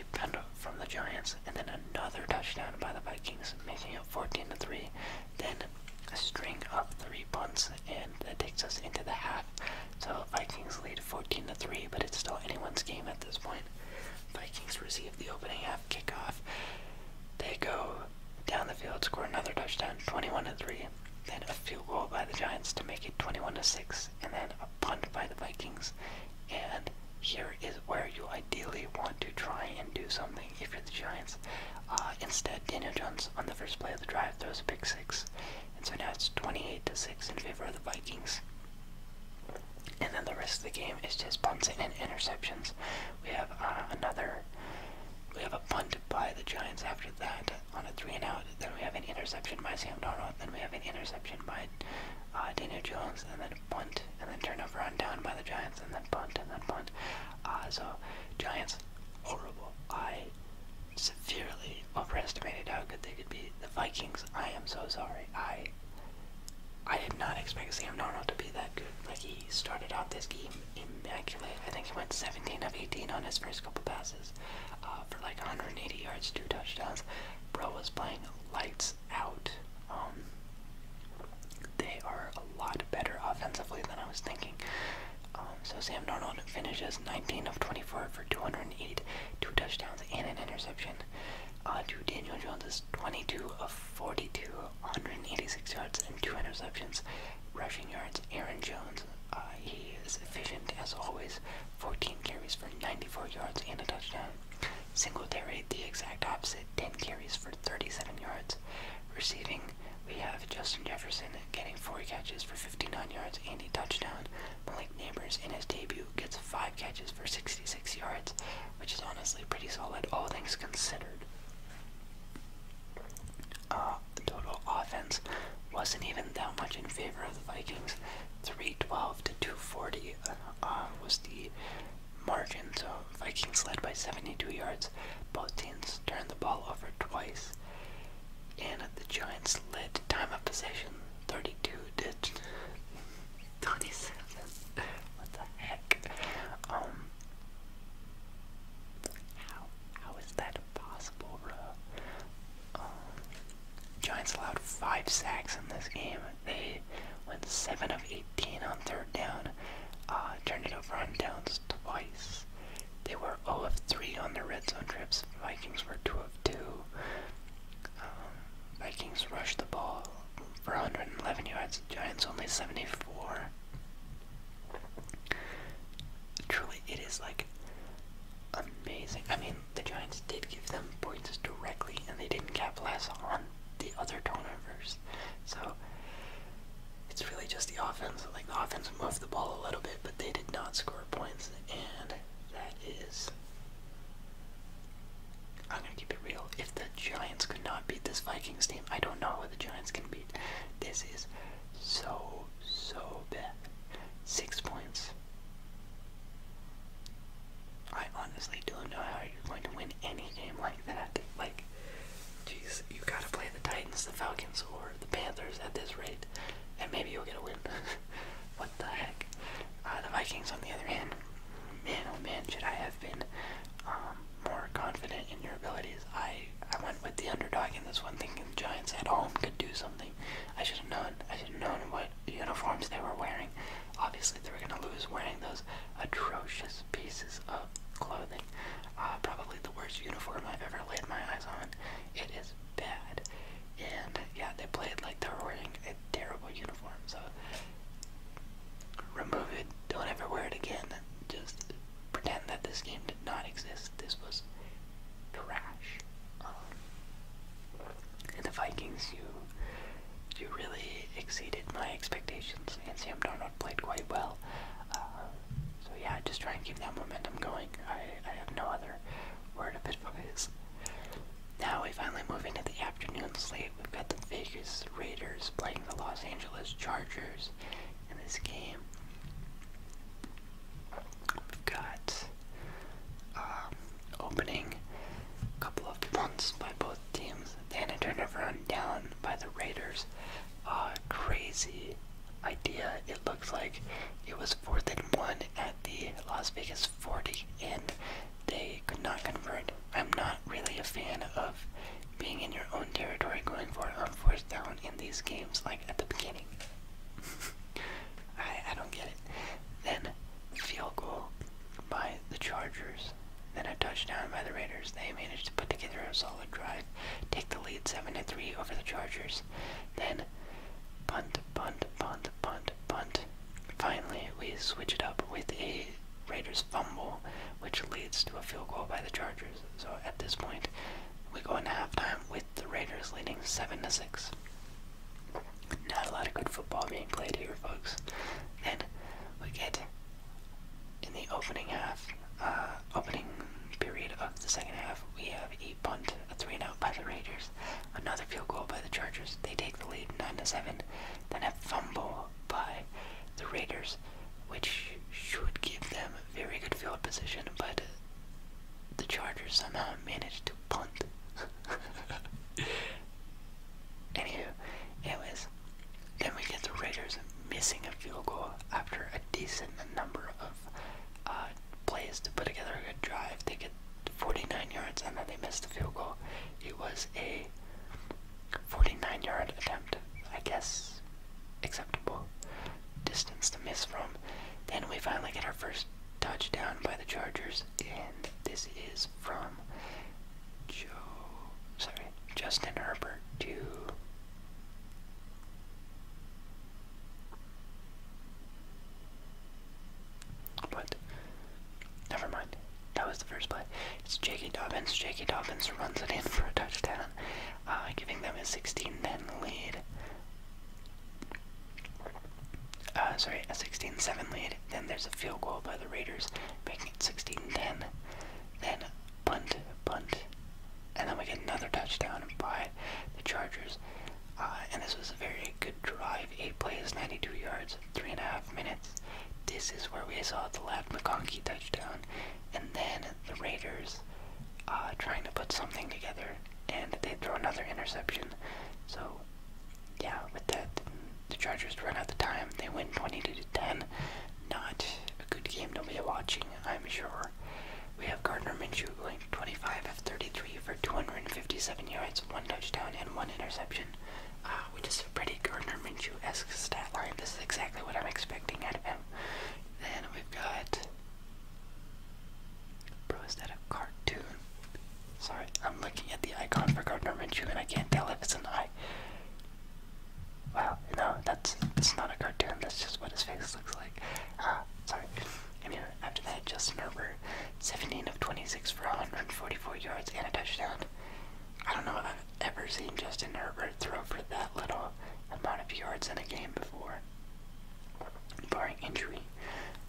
a punt from the Giants, and then another touchdown by the Vikings, making it fourteen to three. Then a string of three punts and that takes us into the half. So Vikings lead 14 to 3, but it's still anyone's game at this point. Vikings receive the opening half kickoff. They go down the field, score another touchdown, 21 to 3. Then a field goal by the Giants to make it 21 to 6, and then a punt by the Vikings. And here is where you ideally want to try and do something if you're the Giants. Uh, instead, Daniel Jones on the first play of the drive throws a pick six, and so now it's 28 to 6 in favor of the Vikings. And then the rest of the game is just punts and interceptions. We have uh, another, we have a punt by the Giants after that on a three and out. Then we have an interception by Sam Darnold. Then we have an interception by uh, Daniel Jones. And then a punt. And then turnover on down by the Giants. And then punt. And then punt. Uh, so Giants, horrible. I severely overestimated how good they could be. The Vikings, I am so sorry. I I did not expect Sam Darnold to be that good. Like he started off this game immaculate. I think he went 17 of 18 on his first couple passes uh, for like 180 yards, two touchdowns. Bro was playing lights out. Um, they are a lot better offensively than I was thinking. Um, so Sam Darnold finishes 19 of 24 for 208, two touchdowns and an interception. Uh, to Daniel Jones 22 of 42, 186 yards and two interceptions, rushing yards. Aaron Jones, uh, he is efficient as always, 14 carries for 94 yards and a touchdown. Single Singletary, the exact opposite, 10 carries for 37 yards. Receiving, we have Justin Jefferson getting four catches for 59 yards and a touchdown. Malik Neighbors, in his debut, gets 5 catches for 66 yards, which is honestly pretty solid, all things considered. Uh, the total offense wasn't even that much in favor of the Vikings. 312 to 240 uh, was the margin, so Vikings led by 72 yards. Both teams turned the ball over twice, and the Giants led time of possession 32 digits. 27. what the heck? Um. How how is that possible, bro? Um, Giants allowed five sacks in this game. They went seven of eighteen on third down. Uh, turned it over on downs twice. They were 0 of three on their red zone trips. Vikings were two of two. Um, Vikings rush the ball for 111 yards. Giants only 74. Truly, it is like amazing. I mean, the Giants did give them points directly, and they didn't capitalize on the other turnovers. So it's really just the offense. Like the offense moved the ball a little bit, but they did not score points, and that is I'm gonna keep it real. If the Giants could not beat this Vikings team, I don't know what the Giants can beat. This is so so bad. Six points. I honestly don't know how you're going to win any game like that. Like, jeez, you gotta play the Titans, the Falcons, or the Panthers at this rate, and maybe you'll get a win. What the heck? Uh, the Vikings, on the other hand, man, oh man, should I have been um, more confident in your abilities? I I went with the underdog in this one, thinking the Giants at home could do something. I should have known. I should have known what uniforms they were wearing. Obviously, they were going to lose wearing those atrocious pieces of clothing. Uh, probably the worst uniform I've ever laid my eyes on. It is bad. And yeah, they played like they were wearing a terrible uniform. So remove it. Don't ever wear it again. Just pretend that this game did not exist. This was trash. and um, the Vikings, you you really exceeded my expectations. And Sam Darnold played quite well. Uh, so yeah, just try and keep that momentum going. I I have no other word of advice. Now we finally move into the afternoon slate. We've got the Vegas Raiders playing the Los Angeles Chargers in this game. We've got um, opening couple of punts by both teams, then a turnover on down by the Raiders. Uh, crazy idea. It looks like it was fourth and one at the Las Vegas 40, and they could not convert. I'm not really a fan of being in your own territory going for it on fourth down in these games, like at the beginning. I, I don't get it. Then, field goal by the Chargers. Then a touchdown by the Raiders. They managed to put together a solid drive, take the lead 7-3 over the Chargers. Then, punt, punt, punt, Punt, punt, Finally, we switch it up with a Raiders fumble, which leads to a field goal by the Chargers. So at this point, we go into halftime with the Raiders leading 7 to 6. Not a lot of good football being played here, folks. Then we get in the opening half, uh, opening period of the second half, we have a punt, a three and by the Raiders. Another field goal by the Chargers. They take the lead 9 to 7. Then a fumble by the Raiders, which should give them a very good field position, but the Chargers somehow managed to punt. Anywho, anyways, then we get the Raiders missing a field goal after a decent number of uh, plays to put together a good drive. They get 49 yards and then they missed the field goal. It was a 49 yard attempt, I guess, acceptable distance to miss from. Then we finally get our first touchdown by the Chargers, and this is from Joe, sorry, Justin Herbert to. What? Never mind. That was the first play. It's J.K. Dobbins. J.K. Dobbins runs it in for a touchdown, uh, giving them a 16-10 lead. Uh, sorry, a 16 lead. Then there's a field goal by the Raiders, making it 16-10. Then punt, punt, and then we get another touchdown by the Chargers, uh, and this was a very good drive. Eight plays, 92 yards, three and a half minutes. This is where we saw the left McConkey touchdown, and then the Raiders uh, trying to put something together, and they throw another interception. So, yeah, with that, the Chargers run out of time. They win 22 to 10. Not a good game to be watching, I'm sure. We have Gardner Minshew going 25 of 33 for 257 yards one touchdown, and one interception, uh, which is a pretty Gardner Minshew-esque stat line. This is exactly what I'm expecting out of him. Then we've got, bro, is that a cartoon? Sorry, I'm looking at the icon for Gardner Minshew, and I can't tell if it's an eye. Well, no, that's it's not a cartoon. That's just what his face looks like. Uh, sorry. Anyway, after that, Justin Herbert, 17 of 26 for 144 yards and a touchdown. I don't know if I've ever seen Justin Herbert throw for that little amount of yards in a game before. Barring injury,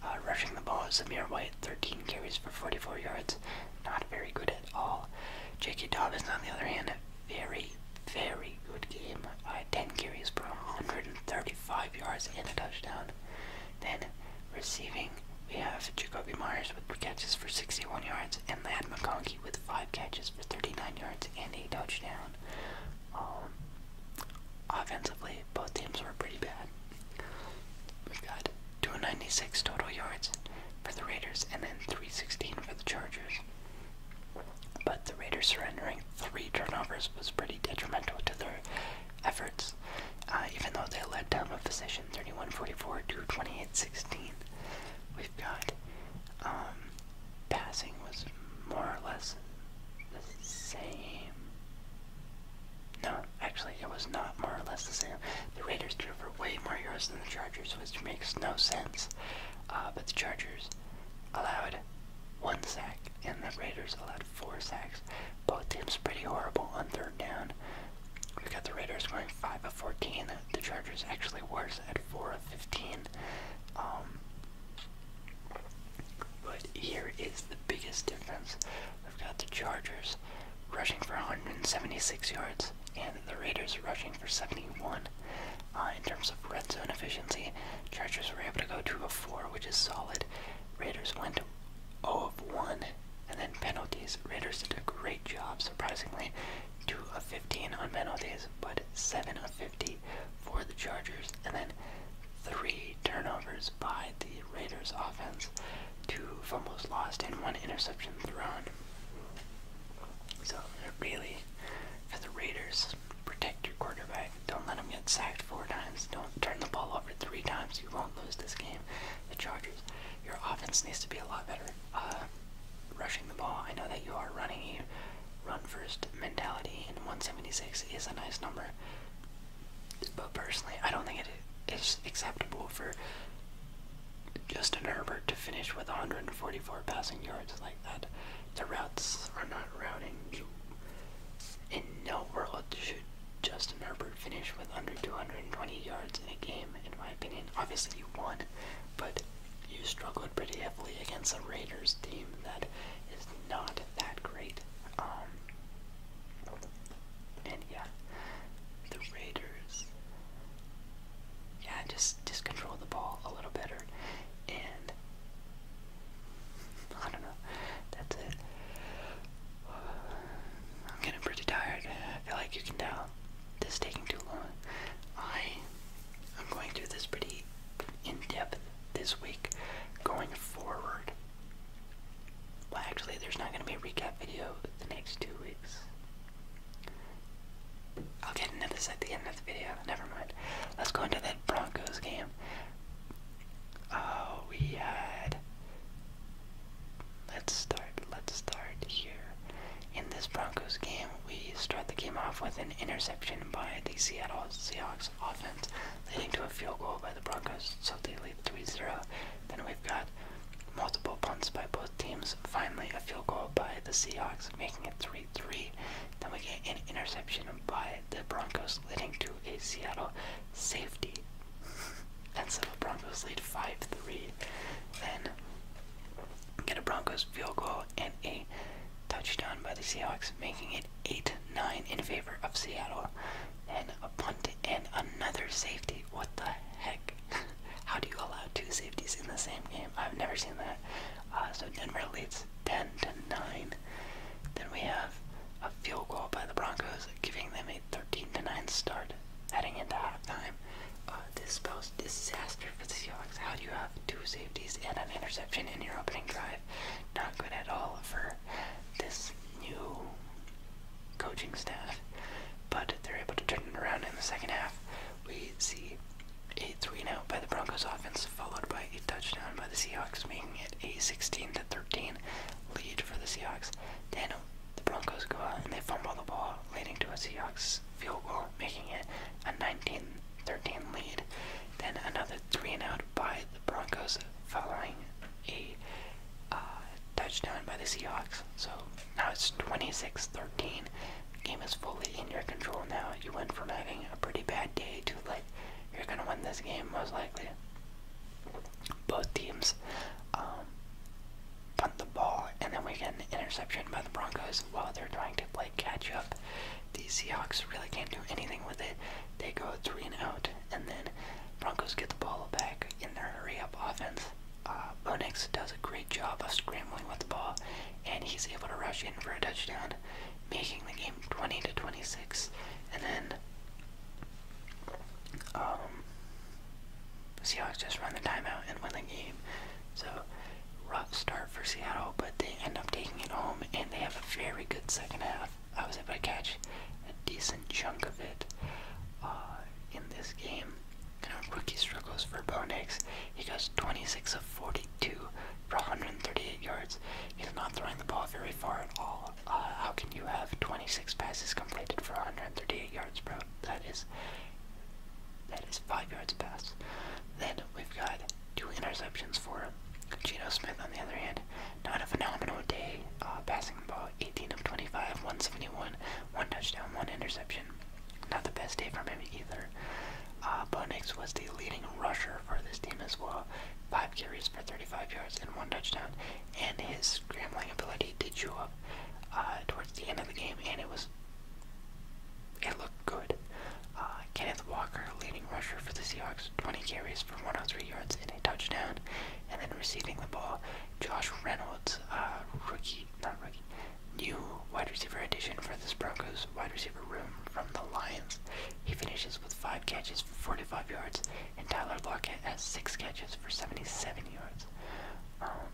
uh, rushing the ball is Samir White, 13 carries for 44 yards. Not very good at all. J.K. Dobbins, on the other hand, very, very good game. Uh, 10 carries for 135 yards and a touchdown. Then receiving, we have Jacoby Myers with catches for 61 yards and Lad McConkey with five catches for 39 yards and a touchdown. Um, offensively, both teams were pretty bad. We've got 296 total yards for the Raiders and then 316 for the Chargers. But the Raiders surrendering three turnovers was pretty detrimental to their efforts, uh, even though they led down the position thirty one forty four to twenty We've got um, passing was more or less the same. No, actually, it was not more or less the same. The Raiders threw for way more yards than the Chargers, which makes no sense. Uh, but the Chargers allowed one sack, and the Raiders allowed four sacks. Both teams pretty horrible on third down. We've got the Raiders scoring 5 of 14. The Chargers actually worse at 4 of 15. Um, but here is the biggest difference. We've got the Chargers rushing for 176 yards and the Raiders rushing for 71. Uh, in terms of red zone efficiency, Chargers were able to go 2 of 4, which is solid. Raiders went 0 of 1. And then penalties. Raiders did a great job, surprisingly. 2 of 15 on penalties, but 7 of 50 for the Chargers. And then 3 turnovers by the Raiders offense. 2 fumbles lost and 1 interception thrown. So, really, for the Raiders, protect your quarterback. Don't let him get sacked four times. Don't turn the ball over three times. You won't lose this game the Chargers. Your offense needs to be a lot better uh, rushing the ball. I know that you are running a run-first mentality, and 176 is a nice number. But personally, I don't think it is acceptable for Justin Herbert to finish with 144 passing yards like that. The routes are not routing. In no world should Justin Herbert finish with under 220 yards in a game, in my opinion. Obviously, you won, but you struggled pretty heavily against a Raiders team that is not that great. Um, and yeah, the Raiders. Yeah, just just control the ball a little better, and I don't know. That's it. I'm getting pretty tired. I feel like you can tell this is taking too long. I am going through this pretty in depth this week going forward. Well, actually, there's not going to be a recap video the next two weeks. I'll get into this at the end of the video. Never mind. Let's go into that Broncos game. Oh, we Let's start. Let's start here. In this Broncos game, we start the game off with an interception by the Seattle Seahawks offense, leading to a field goal by the Broncos, so they lead 3 0. Then we've got multiple punts by both teams, finally, a field goal by the Seahawks, making it 3 3. Then we get an interception by the Broncos, leading to a Seattle safety and so the Broncos lead 5 3. Then get a Broncos field goal and a touchdown by the Seahawks, making it 8 9 in favor of Seattle. And a punt and another safety. What the heck? How do you allow two safeties in the same game? I've never seen that. Uh, so Denver leads 10 to 9. Then we have a field goal by the Broncos giving them a 13 to 9 start heading into halftime. Uh, this spells disaster for the Seahawks. How do you have two safeties and an interception in your opening drive? Not good at all for this new coaching staff. But they're able to turn it around in the second half. We see a 3 out by the Broncos offense, followed by a touchdown by the Seahawks, making it a 16 to 13 lead for the Seahawks. Daniel the Broncos go out and they fumble the ball, leading to a Seahawks field goal, making it a 19-13 lead. Then another three and out by the Broncos, following a uh, touchdown by the Seahawks. So now it's 26-13. Game is fully in your control now. You went from having a pretty bad day to like you're gonna win this game most likely both teams um, punt the ball, and then we get an interception by the Broncos while they're trying to play catch up. The Seahawks really can't do anything with it. They go three and out, and then Broncos get the ball back in their hurry-up offense. Uh, does a great job of scrambling with the ball, and he's able to rush in for a touchdown, making the game 20 to 26. And then um, Seahawks just run the timeout and win the game. So, rough start for Seattle, but they end up taking it home, and they have a very good second half. I was able to catch a decent chunk of it uh, in this game. Kind rookie struggles for Bo Nix. He goes 26 of 42 for 138 yards. He's not throwing the ball very far at all. Uh, how can you have 26 passes completed for 138 yards, bro? That is that is five yards pass. Then we've got two interceptions for Geno Smith. On the other hand, not a phenomenal day uh, passing the ball. 18 of 25, 171, one touchdown, one interception. Not the best day for him either. Uh, Bo was the leading rusher for this team as well. Five carries for 35 yards and one touchdown, and his scrambling ability did show up uh, towards the end of the game, and it was it looked good. Uh, Kenneth Walker, leading rusher for the Seahawks, 20 carries for 103 yards and a touchdown, and then receiving the ball, Josh Reynolds, uh, rookie, not rookie, new wide receiver addition for the Broncos wide receiver room from the Lions. He finishes with five catches for 45 yards, and Tyler Lockett has six catches for 77 yards. Um,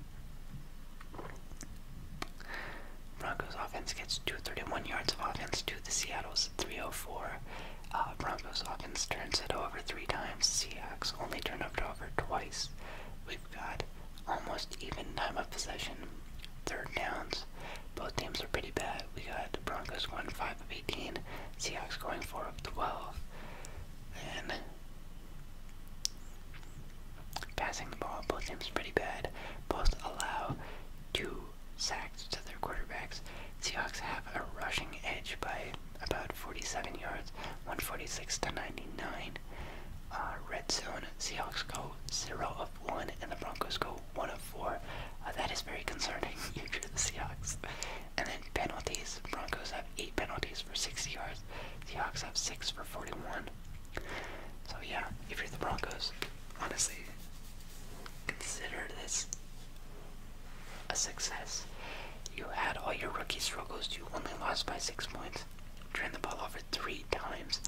Broncos offense gets 231 yards of offense to the Seattle's 304. Uh, Broncos offense turns it over three times. Seahawks only turn it over twice. We've got almost even time of possession. Third downs. Both teams are pretty bad. We got the Broncos one 5 of 18, Seahawks going 4 of 12. And Passing the ball, both teams pretty bad. Both allow two sacks to their quarterbacks. Seahawks have a rushing edge by about 47 yards, 146 to 99. Uh, red zone, Seahawks go 0 of 1, and the Broncos go 1 of 4. Uh, that is very concerning if you're the Seahawks. And then penalties. Broncos have eight penalties for 60 yards. Seahawks have six for 41. So yeah, if you're the Broncos, honestly, consider this a success. You had all your rookie struggles. You only lost by six points. Turned the ball over three times,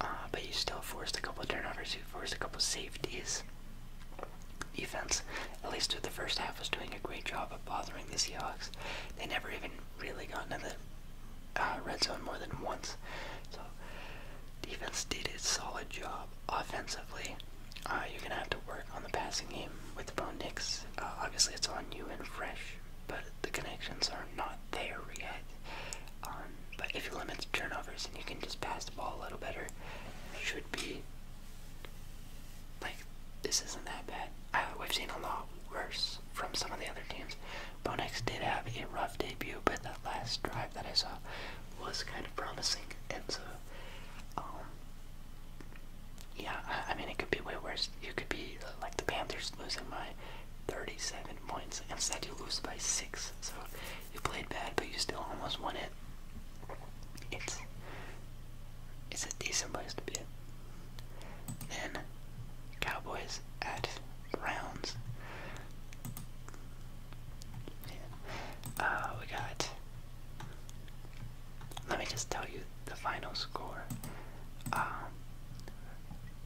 uh, but you still forced a couple turnovers. You forced a couple safeties. Defense, at least through the first half, was doing a great job job of bothering the Seahawks. They never even really got into the uh, red zone more than once. So defense did a solid job offensively. Uh, you're gonna have to work on the passing game with Bo Nix. Uh, obviously, it's on you and Fresh, but the connections are not there yet. Um, but if you limit the turnovers and you can just pass the ball a little better, should be like, this isn't that bad. I, we've seen a lot worse from some of the other teams. Bonex did have a rough debut, but that last drive that I saw was kind of promising. And so, um, yeah, I, mean, it could be way worse. You could be uh, like the Panthers losing by 37 points. Instead, you lose by 6. So, you played bad, but you still almost won it. It's, it's a decent place to be. Then Cowboys at Browns. Uh, we got. Let me just tell you the final score. Um,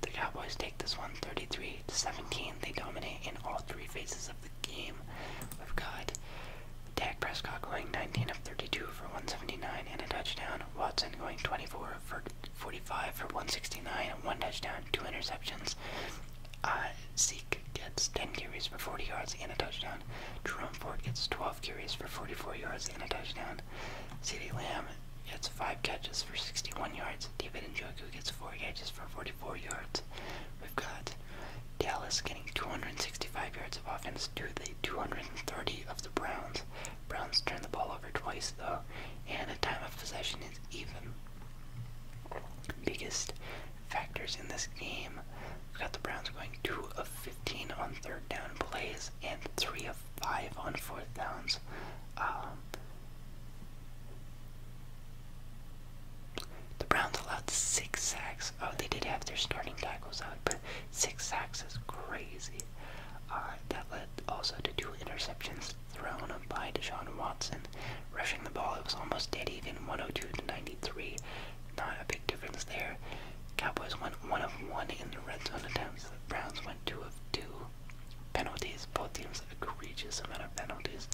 the Cowboys take this one, thirty-three to 17. They dominate in all three phases of the game. We've got Dak Prescott going 19 of 32 for 179 and a touchdown. Watson going 24 for 45 for 169, and one touchdown, two interceptions. Uh, Zeke gets 10 carries for 40 yards and a touchdown. Jerome Ford gets 12 carries for 44 yards and a touchdown. C.D. Lamb gets 5 catches for 61 yards. David and Njoku gets 4 catches for 44 yards. We've got Dallas getting 265 yards of offense to the 230 of the Browns points. Browns turn the ball over twice, though, and the time of possession is even. Biggest factors in this game. We've got the Browns going 2 of 15 on third down plays and 3 of 5 on fourth downs. Um, the Browns allowed six sacks. Oh, they did have their starting tackles out, but Six sacks is crazy. Uh, that led also to two interceptions thrown by Deshaun Watson. Rushing the ball, it was almost dead even, 102 to 93. Not a big difference there. Cowboys won one of one in the red zone attempts. The Browns went two of two. Penalties, both teams egregious amount of penalties.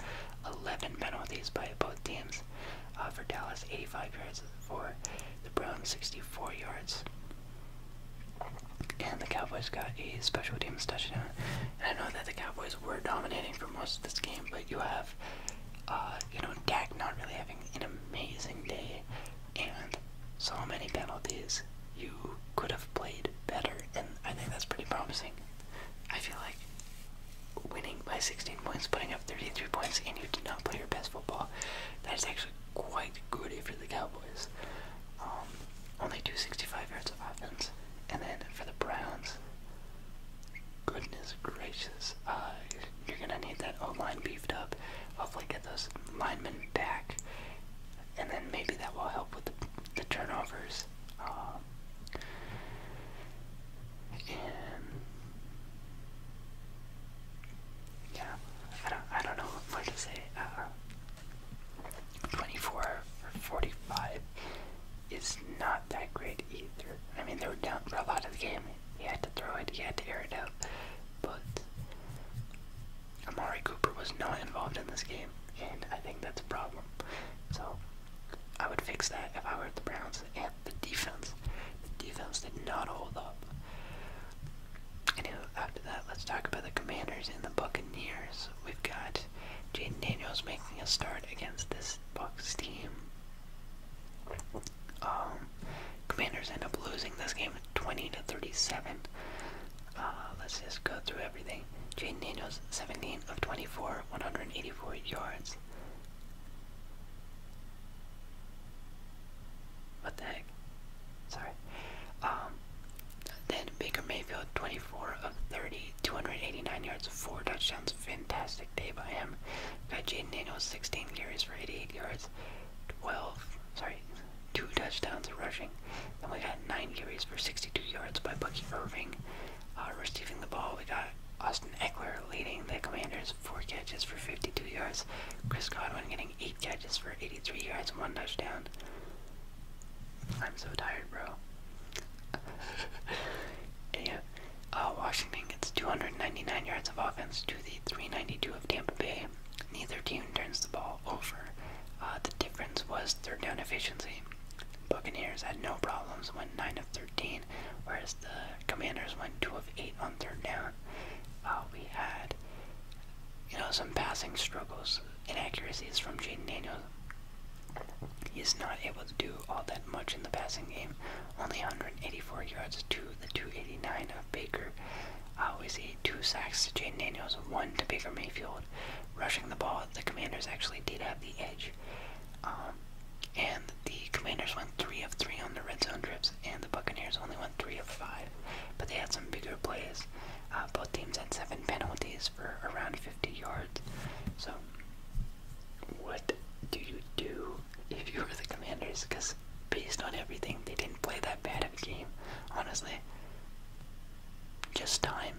11 penalties by both teams. Uh, for Dallas, 85 yards for the Browns, 64 yards. And the Cowboys got a special teams touchdown. And I know that the Cowboys were dominating for most of this game, but you have, uh, you know, Dak not really having an amazing day, and so many penalties. You could have played better, and I think that's pretty promising. I feel like winning by 16 points, putting up 33 points, and you did not play your best football. That is actually quite good for the Cowboys. Um, only 265 yards of offense. And then for the Browns, goodness gracious, uh, you're gonna need that O line beefed up. Hopefully, get those linemen back, and then maybe that will help with the, turnovers. Um, yeah, I don't, I don't know what to say. Uh, 24 or 45 is not that great either. I mean, they were down for a lot of the game. He had to throw it, he had to air it out. But Amari Cooper was not involved in this game, and I think that's a problem. So I would fix that if I were the Browns and the defense. The defense did not hold up after that, let's talk about the Commanders and the Buccaneers. We've got Jaden Daniels making a start against this Bucks team. Um, Commanders end up losing this game 20 to 37. Uh, let's just go through everything. Jaden Daniels, 17 of 24, 184 yards. What the heck? Sorry. Um, then Baker Mayfield, 24 of 30, 289 yards, 4 touchdowns. Fantastic day by him. Got Jaden Daniels, 16 carries for 88 yards, 12, sorry, 2 touchdowns rushing. Then we got 9 carries for 62 yards by Bucky Irving. Uh, receiving the ball, we got Austin Eckler leading the Commanders, 4 catches for 52 yards. Chris Godwin getting eight catches for 83 yards and one touchdown. I'm so tired, bro. yeah. Uh, Washington gets 299 yards of offense to the 392 of Tampa Bay. Neither team turns the ball over. Uh, the difference was third down efficiency. Buccaneers had no problems, went 9 of 13, whereas the Commanders went 2 of 8 on third down. Uh, we had you know, some passing struggles, inaccuracies from Jaden Daniels. He's not able to do all that much in the passing game. Only 184 yards to the 289 of Baker. Uh, we see two sacks to Jaden Daniels, one to Baker Mayfield. Rushing the ball, the Commanders actually did have the edge. Um, and the Commanders went 3 of 3 on the red zone trips and the Buccaneers only won three of five. But they had some bigger plays. Uh, both teams had seven penalties for around 50 yards. So, what do you do if you were the Commanders? Because based on everything, they didn't play that bad of a game. Honestly, just time.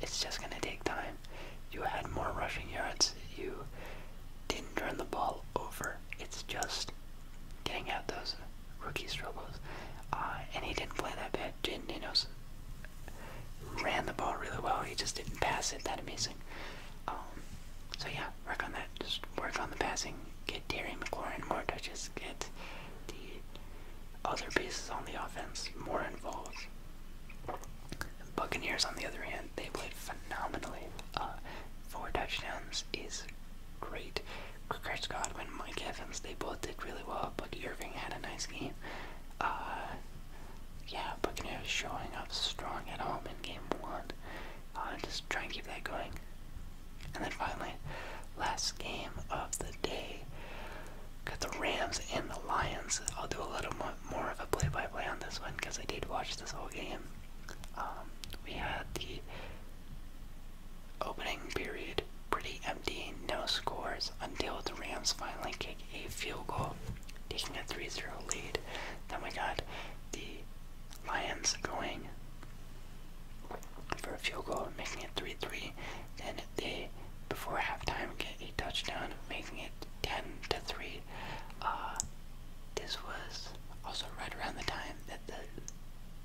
It's just gonna take time. You had more rushing yards. You didn't turn the ball over it's just getting out those rookie struggles. Uh, and he didn't play that bad. Jaden Daniels ran the ball really well. He just didn't pass it that amazing. Um, so yeah, work on that. Just work on the passing. Get Terry McLaurin more touches. Get the other pieces on the offense more involved. Buccaneers, on the other hand, they played phenomenally. Uh, four touchdowns is great. Chris Godwin, Mike Evans, they both did really well. But Irving had a nice game. Uh, yeah, yeah, was showing up strong at home in game one. Uh, just trying to keep that going. And then finally, last game of the day. Got the Rams and the Lions. I'll do a little more of a play-by-play on this one because I did watch this whole game. Um, we had the Opening period pretty empty, no scores until the Rams finally kick a field goal, taking a 3 0 lead. Then we got the Lions going for a field goal, making it 3 3. Then they, before halftime, get a touchdown, making it 10 to 3. Uh, this was also right around the time that the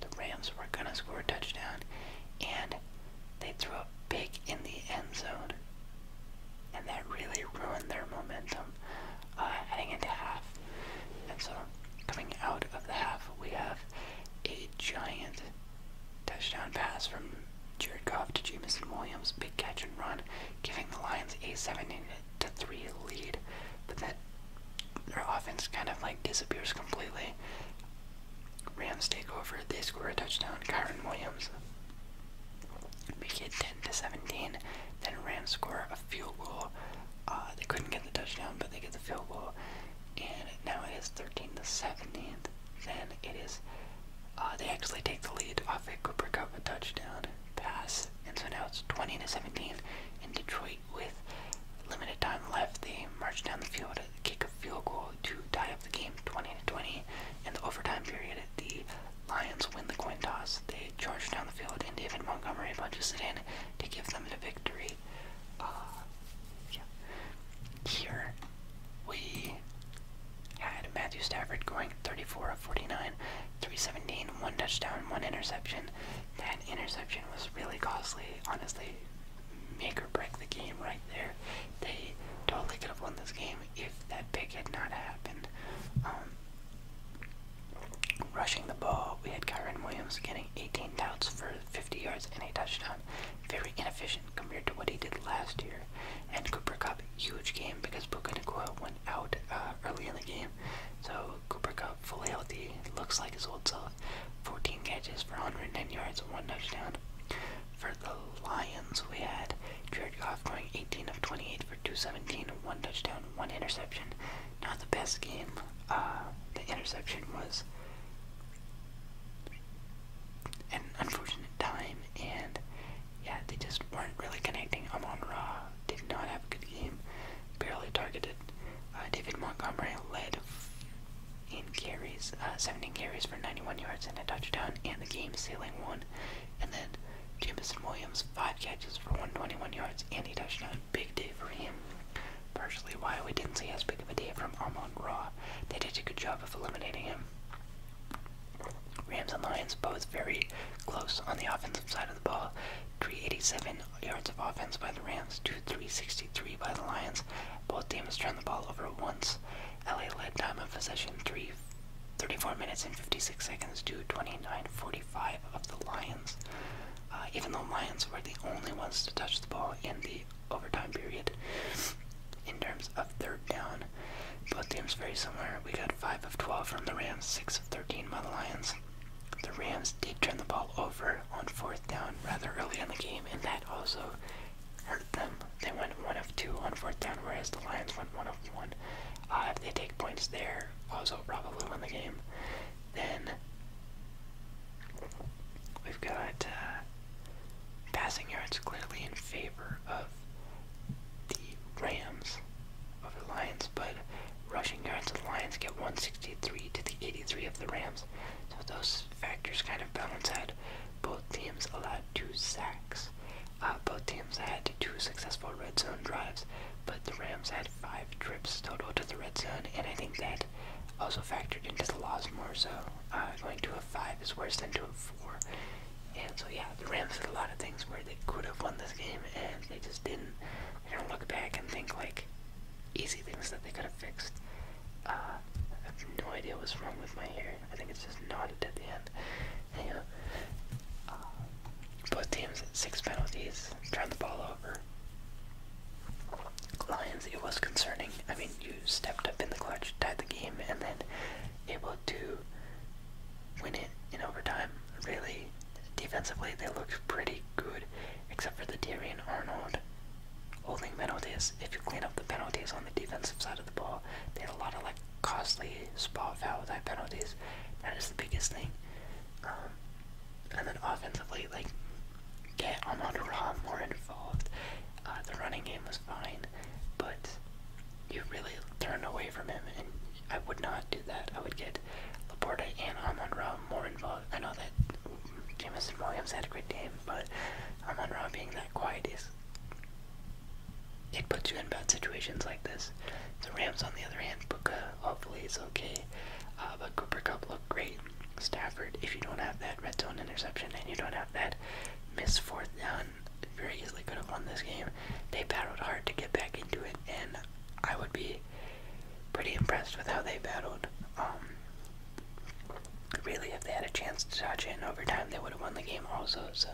the Rams were going to score a touchdown, and they threw a big in the end zone. And that really ruined their momentum uh, heading into half. And so, coming out of the half, we have a giant touchdown pass from Jared Goff to Jamison Williams, big catch and run, giving the Lions a 17 3 lead. But that their offense kind of like disappears completely. Rams take over, they score a touchdown, Kyron Williams. We get 10 to 17. Then Rams score a field goal. Uh, they couldn't get the touchdown, but they get the field goal. And now it is 13 to 17. Then it is uh, they actually take the lead off a Cooper Cup a touchdown pass. And so now it's 20 to 17. in Detroit with limited time left. They marched down the field, to kick a field goal to tie up the game 20 to 20. In the overtime period, the Lions win the coin toss. They charge down the field, and David Montgomery punches it in to give them the victory. Uh, Here we had Matthew Stafford going 34 of 49, 317, one touchdown, one interception. That interception was really costly. Honestly, make or break the game right there. They totally could have won this game if that pick had not happened. Um, rushing the ball, we had Kyron Williams getting 18 touches for 50 yards and a touchdown. Very inefficient compared to what he did last year. And Cooper Cup, huge game because Puka Nakua went out uh, early in the game. So Cooper Cup fully healthy, looks like his old self. 14 catches for 110 yards and one touchdown. For the Lions, we had Jared Goff going 18 of 28 for 217, and one touchdown, one interception. Not the best game. Uh, the interception was an unfortunate time, and yeah, they just weren't really connecting. Amon Ra did not have a good game barely targeted. Uh, David Montgomery led in carries, uh, 17 carries for 91 yards and a touchdown, and the game sealing one. And then Jamison Williams, 5 catches for 121 yards and a touchdown. Big day for him. Partially why we didn't see as big of a day from Armand Raw. They did a good job of eliminating him. Rams and Lions both very close on the offensive side of the ball. 387 yards of offense by the Rams to 363 by the Lions. Both teams turned the ball over once. LA led time of possession 3, 34 minutes and 56 seconds to 29:45 of the Lions. Uh, even though Lions were the only ones to touch the ball in the overtime period, in terms of third down, both teams very similar. We got 5 of 12 from the Rams, 6 of 13 by the Lions. The Rams did turn the ball over on fourth down rather early in the game, and that also hurt them. They went one of two on fourth down, whereas the Lions went one of one. Uh, if they take points there, also probably win the game. Then we've got uh, passing yards clearly in favor of the Rams over the Lions, but rushing yards of the Lions get 163 to the 83 of the Rams defense. So those factors kind of balance out. Both teams allowed two sacks. Uh, both teams had two successful red zone drives, but the Rams had five trips total to the red zone, and I think that also factored into the loss more so. Uh, going to a five is worse than to a four. And so yeah, the Rams did a lot of things where they could have won this game and they just didn't. They don't look back and think like easy things that they could have fixed. Uh, I have no idea what's wrong with my hair. I think it's just knotted at the end. Uh, both teams six penalties. Turn the ball over. Lions, it was concerning. I mean, you stepped up in the clutch, tied the game, and then able to win it in overtime. Really, defensively, they looked pretty good, except for the Darian Arnold holding penalties. If you clean up the penalties on the defensive side of the ball, they had a lot of like costly spot foul type penalties. That is the biggest thing. Um, and then offensively, like get Ahmad Ra more involved. Uh, the running game was fine, but you really turned away from him, and I would not do that. I would get Laporta and Amon Ra more involved. I know that Jamison Williams had a great game, but Amon Ra being that quiet is it puts you in bad situations like this. The Rams, on the other hand, Puka hopefully is okay, uh, but Cooper Cup looked great. Stafford, if you don't have that red zone interception and you don't have that miss fourth down, very easily could have won this game. They battled hard to get back into it, and I would be pretty impressed with how they battled. Um, Really, if they had a chance to touch it in overtime, they would have won the game also. So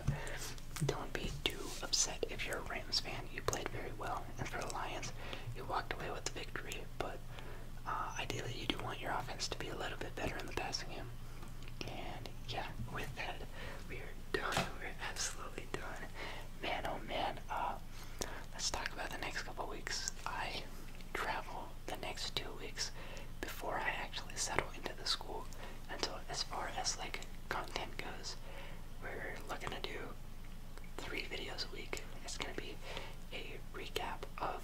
don't be too upset if you're a Rams fan. You played very well, and for the Lions, you walked away with the victory. But uh, ideally, you do want your offense to be a little bit better in the passing game. And yeah, with that, we are done. We're absolutely done. Man, oh man. Uh, let's talk about the next couple weeks. I travel the next two weeks before I actually settle into the school. Until as far as like content goes, we're looking to do three videos a week. It's gonna be a recap of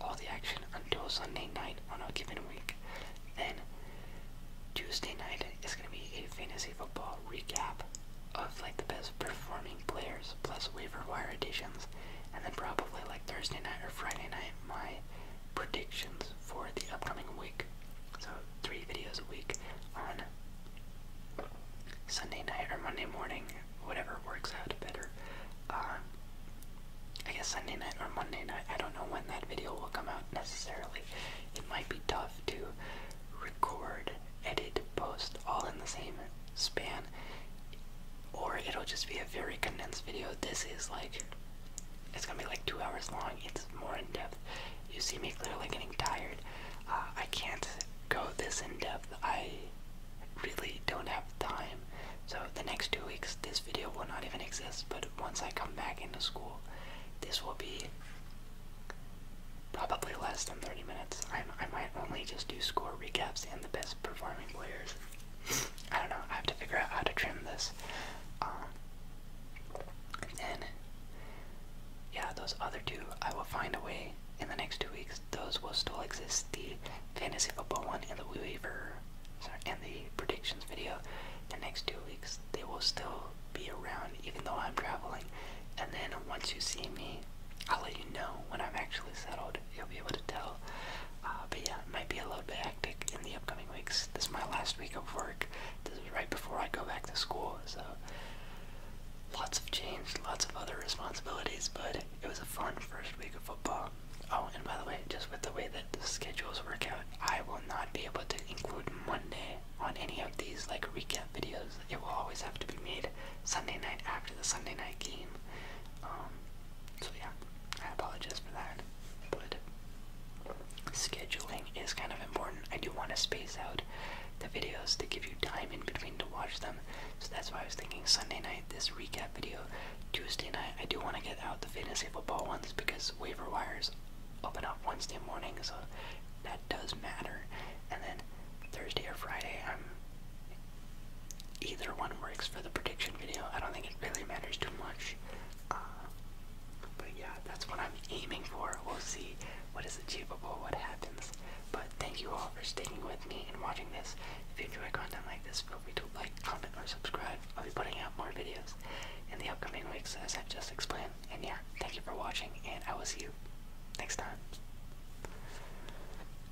all the action until Sunday night on a given week. Then Tuesday night is gonna be a fantasy football recap of like the best performing players plus waiver wire additions and then probably like Thursday night or Friday night, my predictions for the upcoming week. So three videos a week on Sunday night or Monday morning, whatever works out better. Um, I guess Sunday night or Monday night. I don't know when that video will come out necessarily. It might be tough to record, edit, post all in the same span or it'll just be a very condensed video this is like it's gonna be like two hours long it's more in depth you see me clearly getting tired uh, i can't go this in depth i really don't have time so the next two weeks this video will not even exist but once i come back into school this will be probably less than 30 minutes I might only just do score recaps and the best performing players. I don't know. I have to figure out how to trim this. Um, and yeah, those other two, I will find a way in the next two weeks. Those will still exist: the fantasy football one and the waiver, sorry, and the predictions video. In The next two weeks, they will still be around, even though I'm traveling. And then once you see me, I'll let you know when I'm actually settled. You'll be able to tell. Uh, but yeah, it might be a little bit hectic in the upcoming weeks. This is my last week of work. This is right before I go back to school, so lots of change, lots of other responsibilities. But it was a fun first week of football. Oh, and by the way, just with the way that the schedules work out, I will not be able to include Monday on any of these like recap videos. It will always have to be made Sunday night after the Sunday night game. Um, so yeah, I apologize for that. But scheduling is kind of important. I do want to space out the videos to give you time in between to watch them. So that's why I was thinking Sunday night, this recap video. Tuesday night, I do want to get out the fantasy football ones because waiver wires open up Wednesday morning, so that does matter. And then Thursday or Friday, I'm either one works for the prediction video. I don't think it really matters too much. Uh, but yeah, that's what I'm aiming for. We'll see what is achievable, what happens. But thank you all for sticking with me and watching this. If you enjoy content like this, feel free to like, comment, or subscribe. I'll be putting out more videos in the upcoming weeks, as I've just explained. And yeah, thank you for watching, and I will see you next time.